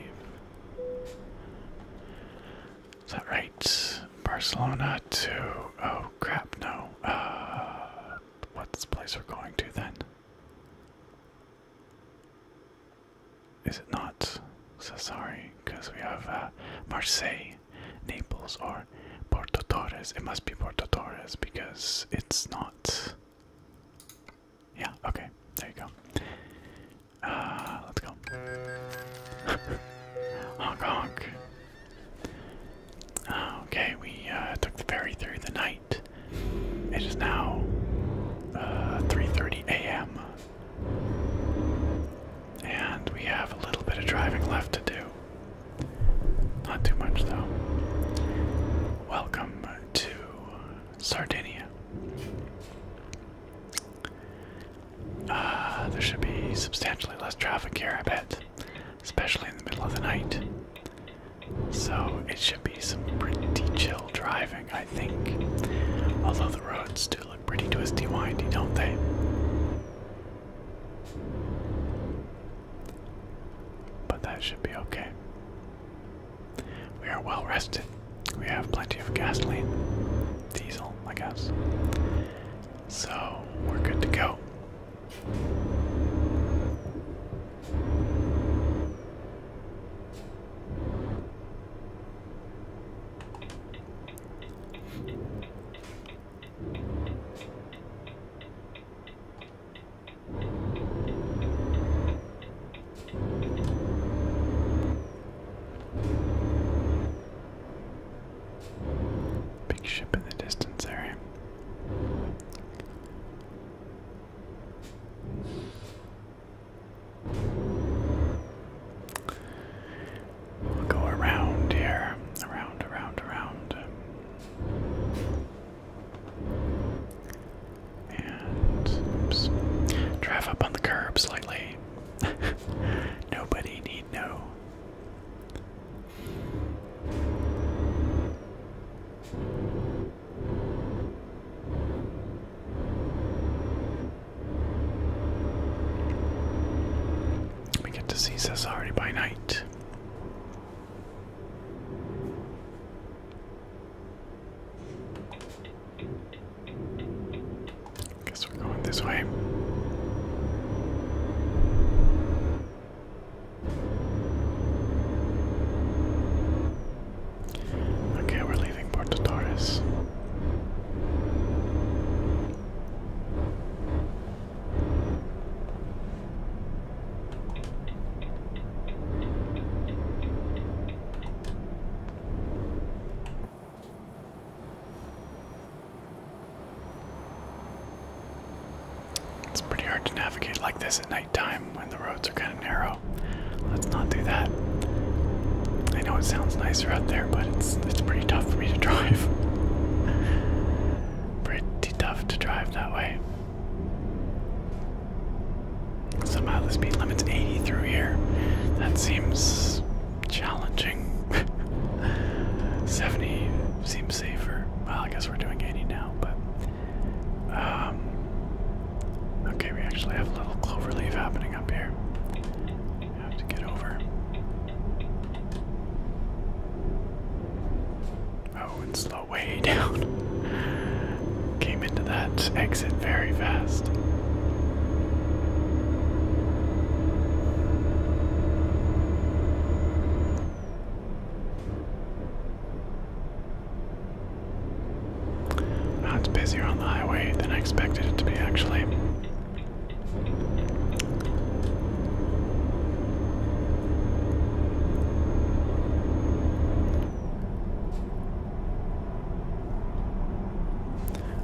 Is that right? Barcelona to. Oh crap, no. Uh, what's the place we're going to then? Is it not? So sorry, because we have uh, Marseille, Naples, or Porto Torres. It must be Porto Torres because it's not. Yeah, okay. There you go. Uh, let's go. [LAUGHS] honk honk. Okay, we uh, took the ferry through the night. It is now uh, 3.30 a.m. And we have a little bit of driving left to do. Not too much though. Welcome to Sardinia. Uh, there should be substantially less traffic here, I bet, especially in the middle of the night. So it should be some pretty chill driving, I think. Although the roads do look pretty twisty windy, don't they? But that should be okay. We are well rested. We have plenty of gasoline, diesel, I guess. So we're good to go. Big ship in the distance area. go around here, around, around, around. And Drive up on the curb slightly. [LAUGHS] Nobody need know. We get to see Cesare by night. Guess we're going this way. Okay, we're leaving Puerto Torres. It's pretty hard to navigate like this at nighttime when the roads are kind of narrow. Let's not do that. I know it sounds nicer out there, but it's it's pretty tough for me to [LAUGHS] drive. pretty tough to drive that way. Somehow the speed limit's 80 through here. That seems challenging. [LAUGHS] 70 seems safer. Well, I guess we're doing 80 now, but. Um, okay, we actually have a little clover leaf happening up here. I have to get over. Oh, and slow way [LAUGHS] down came into that exit very fast. it's busier on the highway than I expected it to be, actually.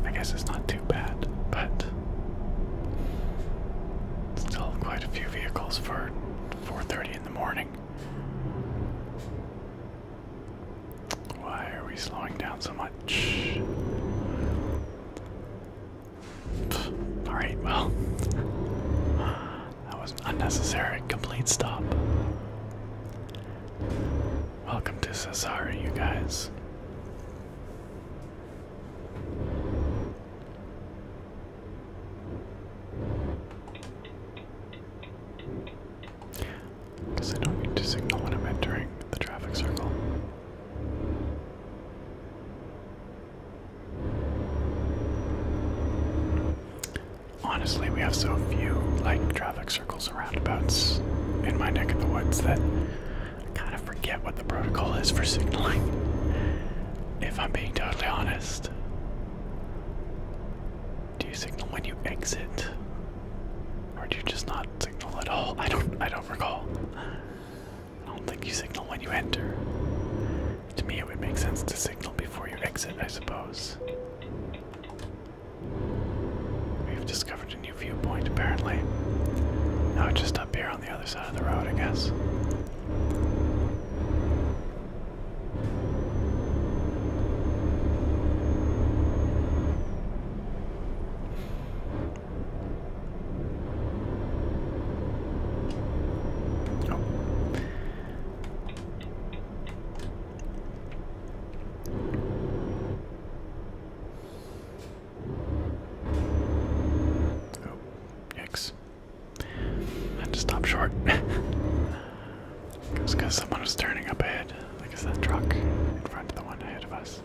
I guess it's not too bad, but still quite a few vehicles for 4:30 in the morning. Why are we slowing down so much? All right, well, that was unnecessary complete stop. Welcome to Cesara, you guys. Because I don't need to signal when I'm entering the traffic circle. Honestly, we have so few like traffic circles and roundabouts in my neck of the woods that I kind of forget what the protocol is for signaling, if I'm being totally honest. Do you signal when you exit? Or do you just not signal at all? I don't I don't recall. I don't think you signal when you enter. To me it would make sense to signal before you exit, I suppose. We've discovered a new viewpoint, apparently. Now just up here on the other side of the road, I guess. Oh. Oh, yikes. I had to stop short. Because [LAUGHS] cause someone was turning up ahead. Like it's that truck in front of the one ahead of us.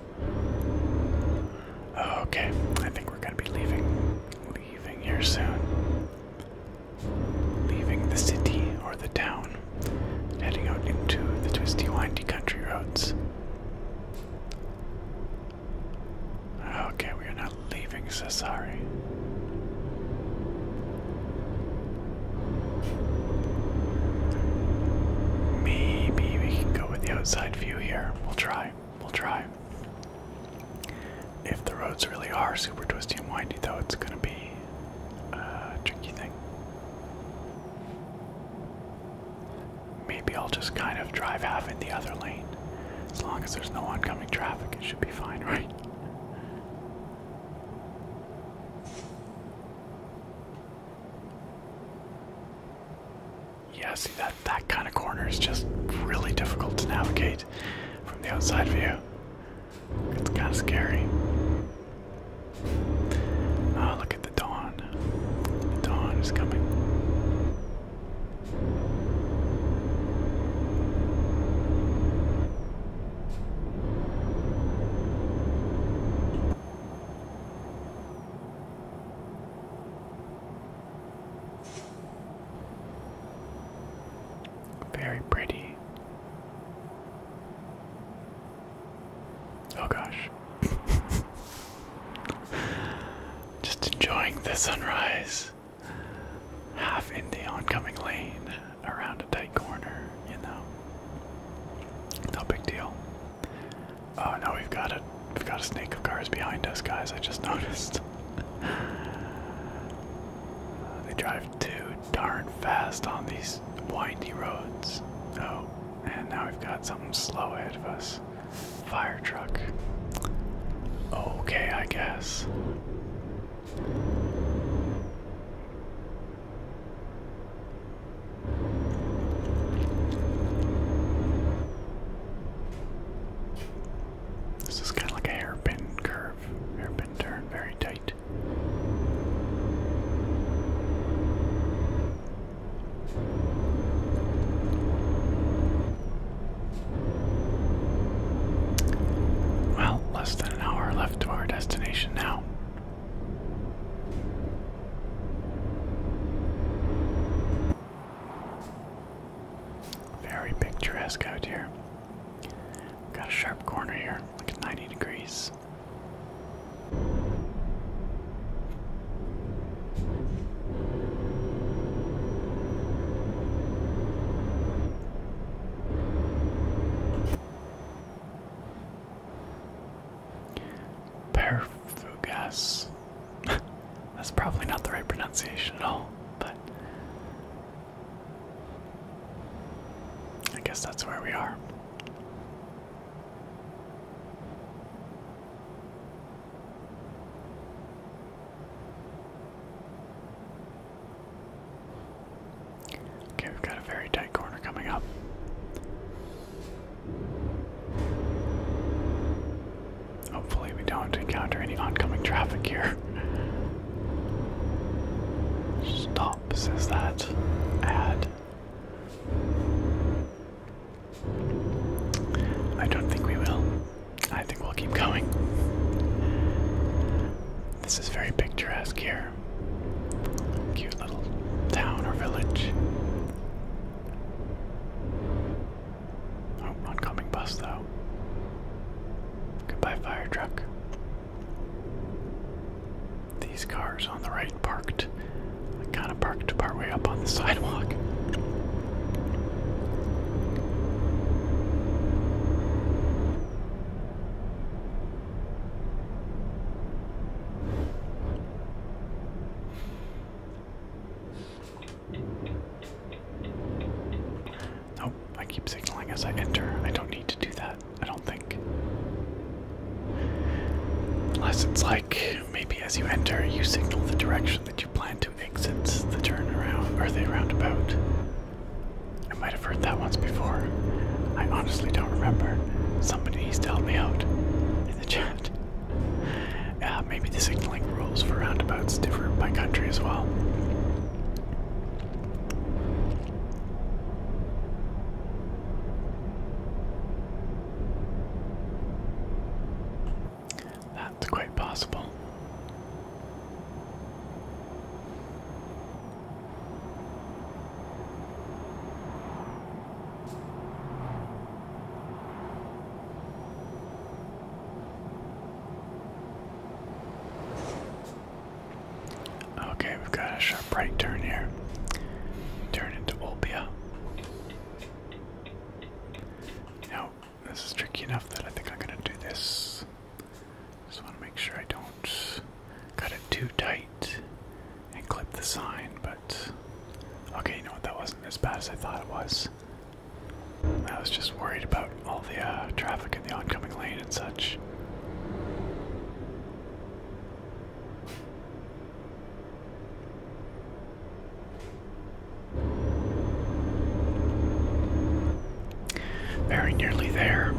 okay, I think we're gonna be leaving. Leaving here soon. Leaving the city or the town heading out into the twisty, windy country roads. Okay, we are not leaving Sassari. Maybe we can go with the outside view here. We'll try. We'll try. If the roads really are super twisty and windy, though, it's going to be a tricky thing. Maybe I'll just kind of drive half in the other lane. As long as there's no oncoming traffic, it should be fine, [LAUGHS] right? Yeah, see that that kind of corner is just really difficult to navigate from the outside view. It's kind of scary. Ah, look at the dawn. The dawn is coming. Very pretty. Oh gosh. [LAUGHS] Just enjoying the sunrise. Half in the oncoming lane around a tight corner, you know. No big deal. Oh no, we've got a we've got a snake of cars behind us, guys. I just [LAUGHS] noticed. they drive too darn fast on these these windy roads. Oh, and now we've got something slow ahead of us. Fire truck. Okay, I guess. This is kind of like a hairpin curve, hairpin turn, very tight. Well, less than an hour left to our destination now. Very picturesque out here. Got a sharp corner here, like 90 degrees. Thanks. Perfugas. [LAUGHS] That's probably not the right pronunciation at all, but I guess that's where we are. Okay, we've got a very tight corner coming up. Hopefully, we don't encounter any oncoming traffic here. [LAUGHS] Stop, says that ad. I don't think we will. I think we'll keep going. This is very picturesque here. Cute little town or village. Oh, oncoming bus though. Goodbye, fire truck these cars on the right parked, kind of parked partway up on the [LAUGHS] sidewalk. Nope, I keep signaling as I enter. I don't need to do that. I don't think. Unless it's like maybe as you enter, you signal the direction that you plan to exit the turnaround or the roundabout. I might have heard that once before. I honestly don't remember. Somebody needs to help me out in the chat. Uh, maybe the signaling rules for roundabouts differ by country as well. That's quite possible. Okay, we've got a sharp right turn here. Turn into Olbia. Now, this is tricky enough that I think I'm gonna do this. Just wanna make sure I don't cut it too tight and clip the sign, but okay, you know what, that wasn't as bad as I thought it was. I was just worried about all the uh, traffic in the oncoming lane and such. Very nearly there.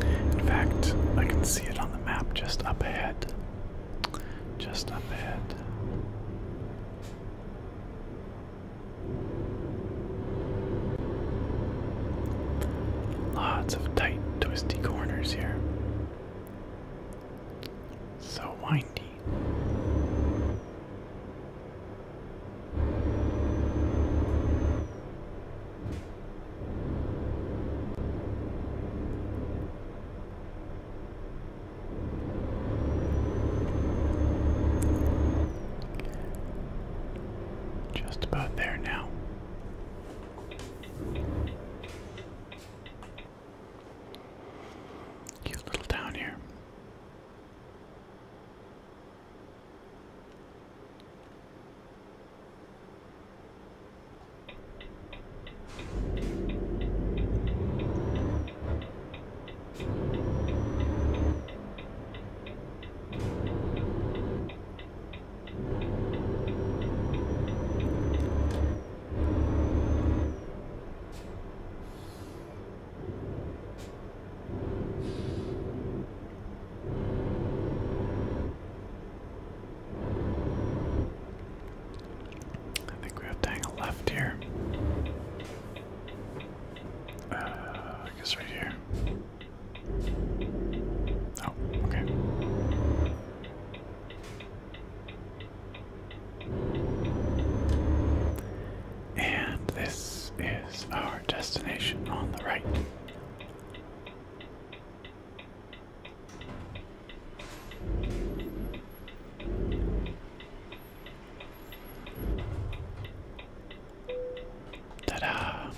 In fact, I can see it on the map just up ahead. Just up ahead. Lots of tight, twisty corners here. So windy. Just about there now. Cute little town here. I think we have to hang a left here. Uh, I guess right here. Oh, okay. And this is our destination on the right. Ta-da!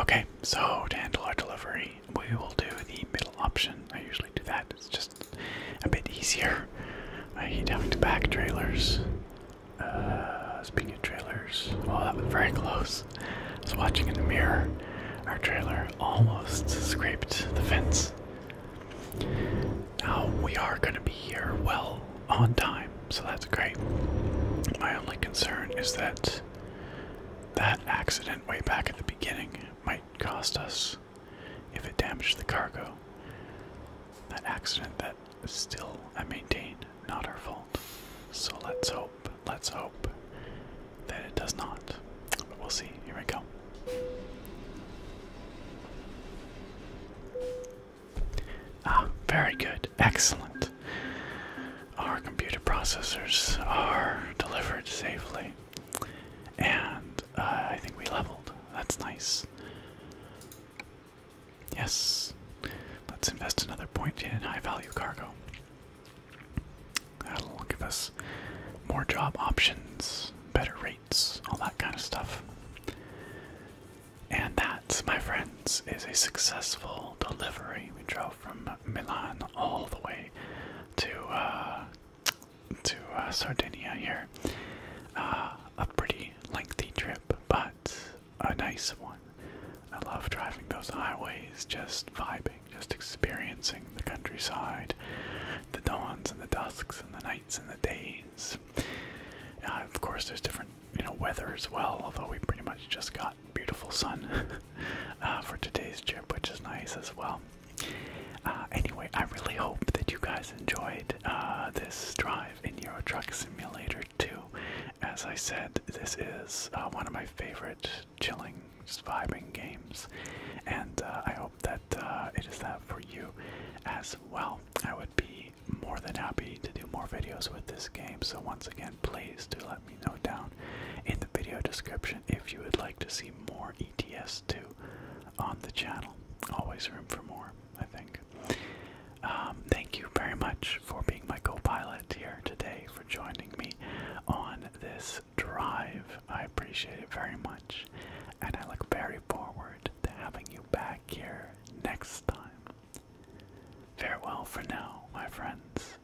Okay, so to handle our delivery, we will do the middle option. I usually do that. It's just a bit easier. I hate having to back trailers. Uh, speaking of trailers, well, oh, that was very close. I was watching in the mirror. Our trailer almost scraped the fence. Now we are going to be here well on time, so that's great. My only concern is that that accident way back at the beginning might cost us if it damaged the cargo. That accident that is still, I maintain, not our fault. So let's hope, let's hope that it does not. But we'll see. Here we go. Ah, very good. Excellent. Our computer processors are delivered safely. And uh, I think we leveled. That's nice. Yes. Let's invest another point in high value cargo. That'll give us more job options, better rates, all that kind of stuff. And that, my friends, is a successful delivery. We drove from Milan all the way to uh, to uh, Sardinia here. Uh, a pretty lengthy trip, but a nice one. I love driving those highways, just vibing, just experiencing the countryside, the dawns and the dusks and the nights and the days. Uh, of course, there's different, you know, weather as well. Although we pretty much just got beautiful sun [LAUGHS] for today's trip, which is nice as well. Uh, anyway, I really hope that you guys enjoyed uh, this drive in Euro Truck Simulator 2. As I said, this is uh, one of my favorite chilling, just vibing games, and I hope that it is that for you as well. I would be more than happy to do more videos with this game, so once again, please do let me know down in the video description if you would like to see more ETS2 on the channel. Always room for more, I think. Um, thank you very much for being my co pilot here today, for joining me on this drive. I appreciate it very much, and I look very forward to having you back here next time. Farewell for now, my friends.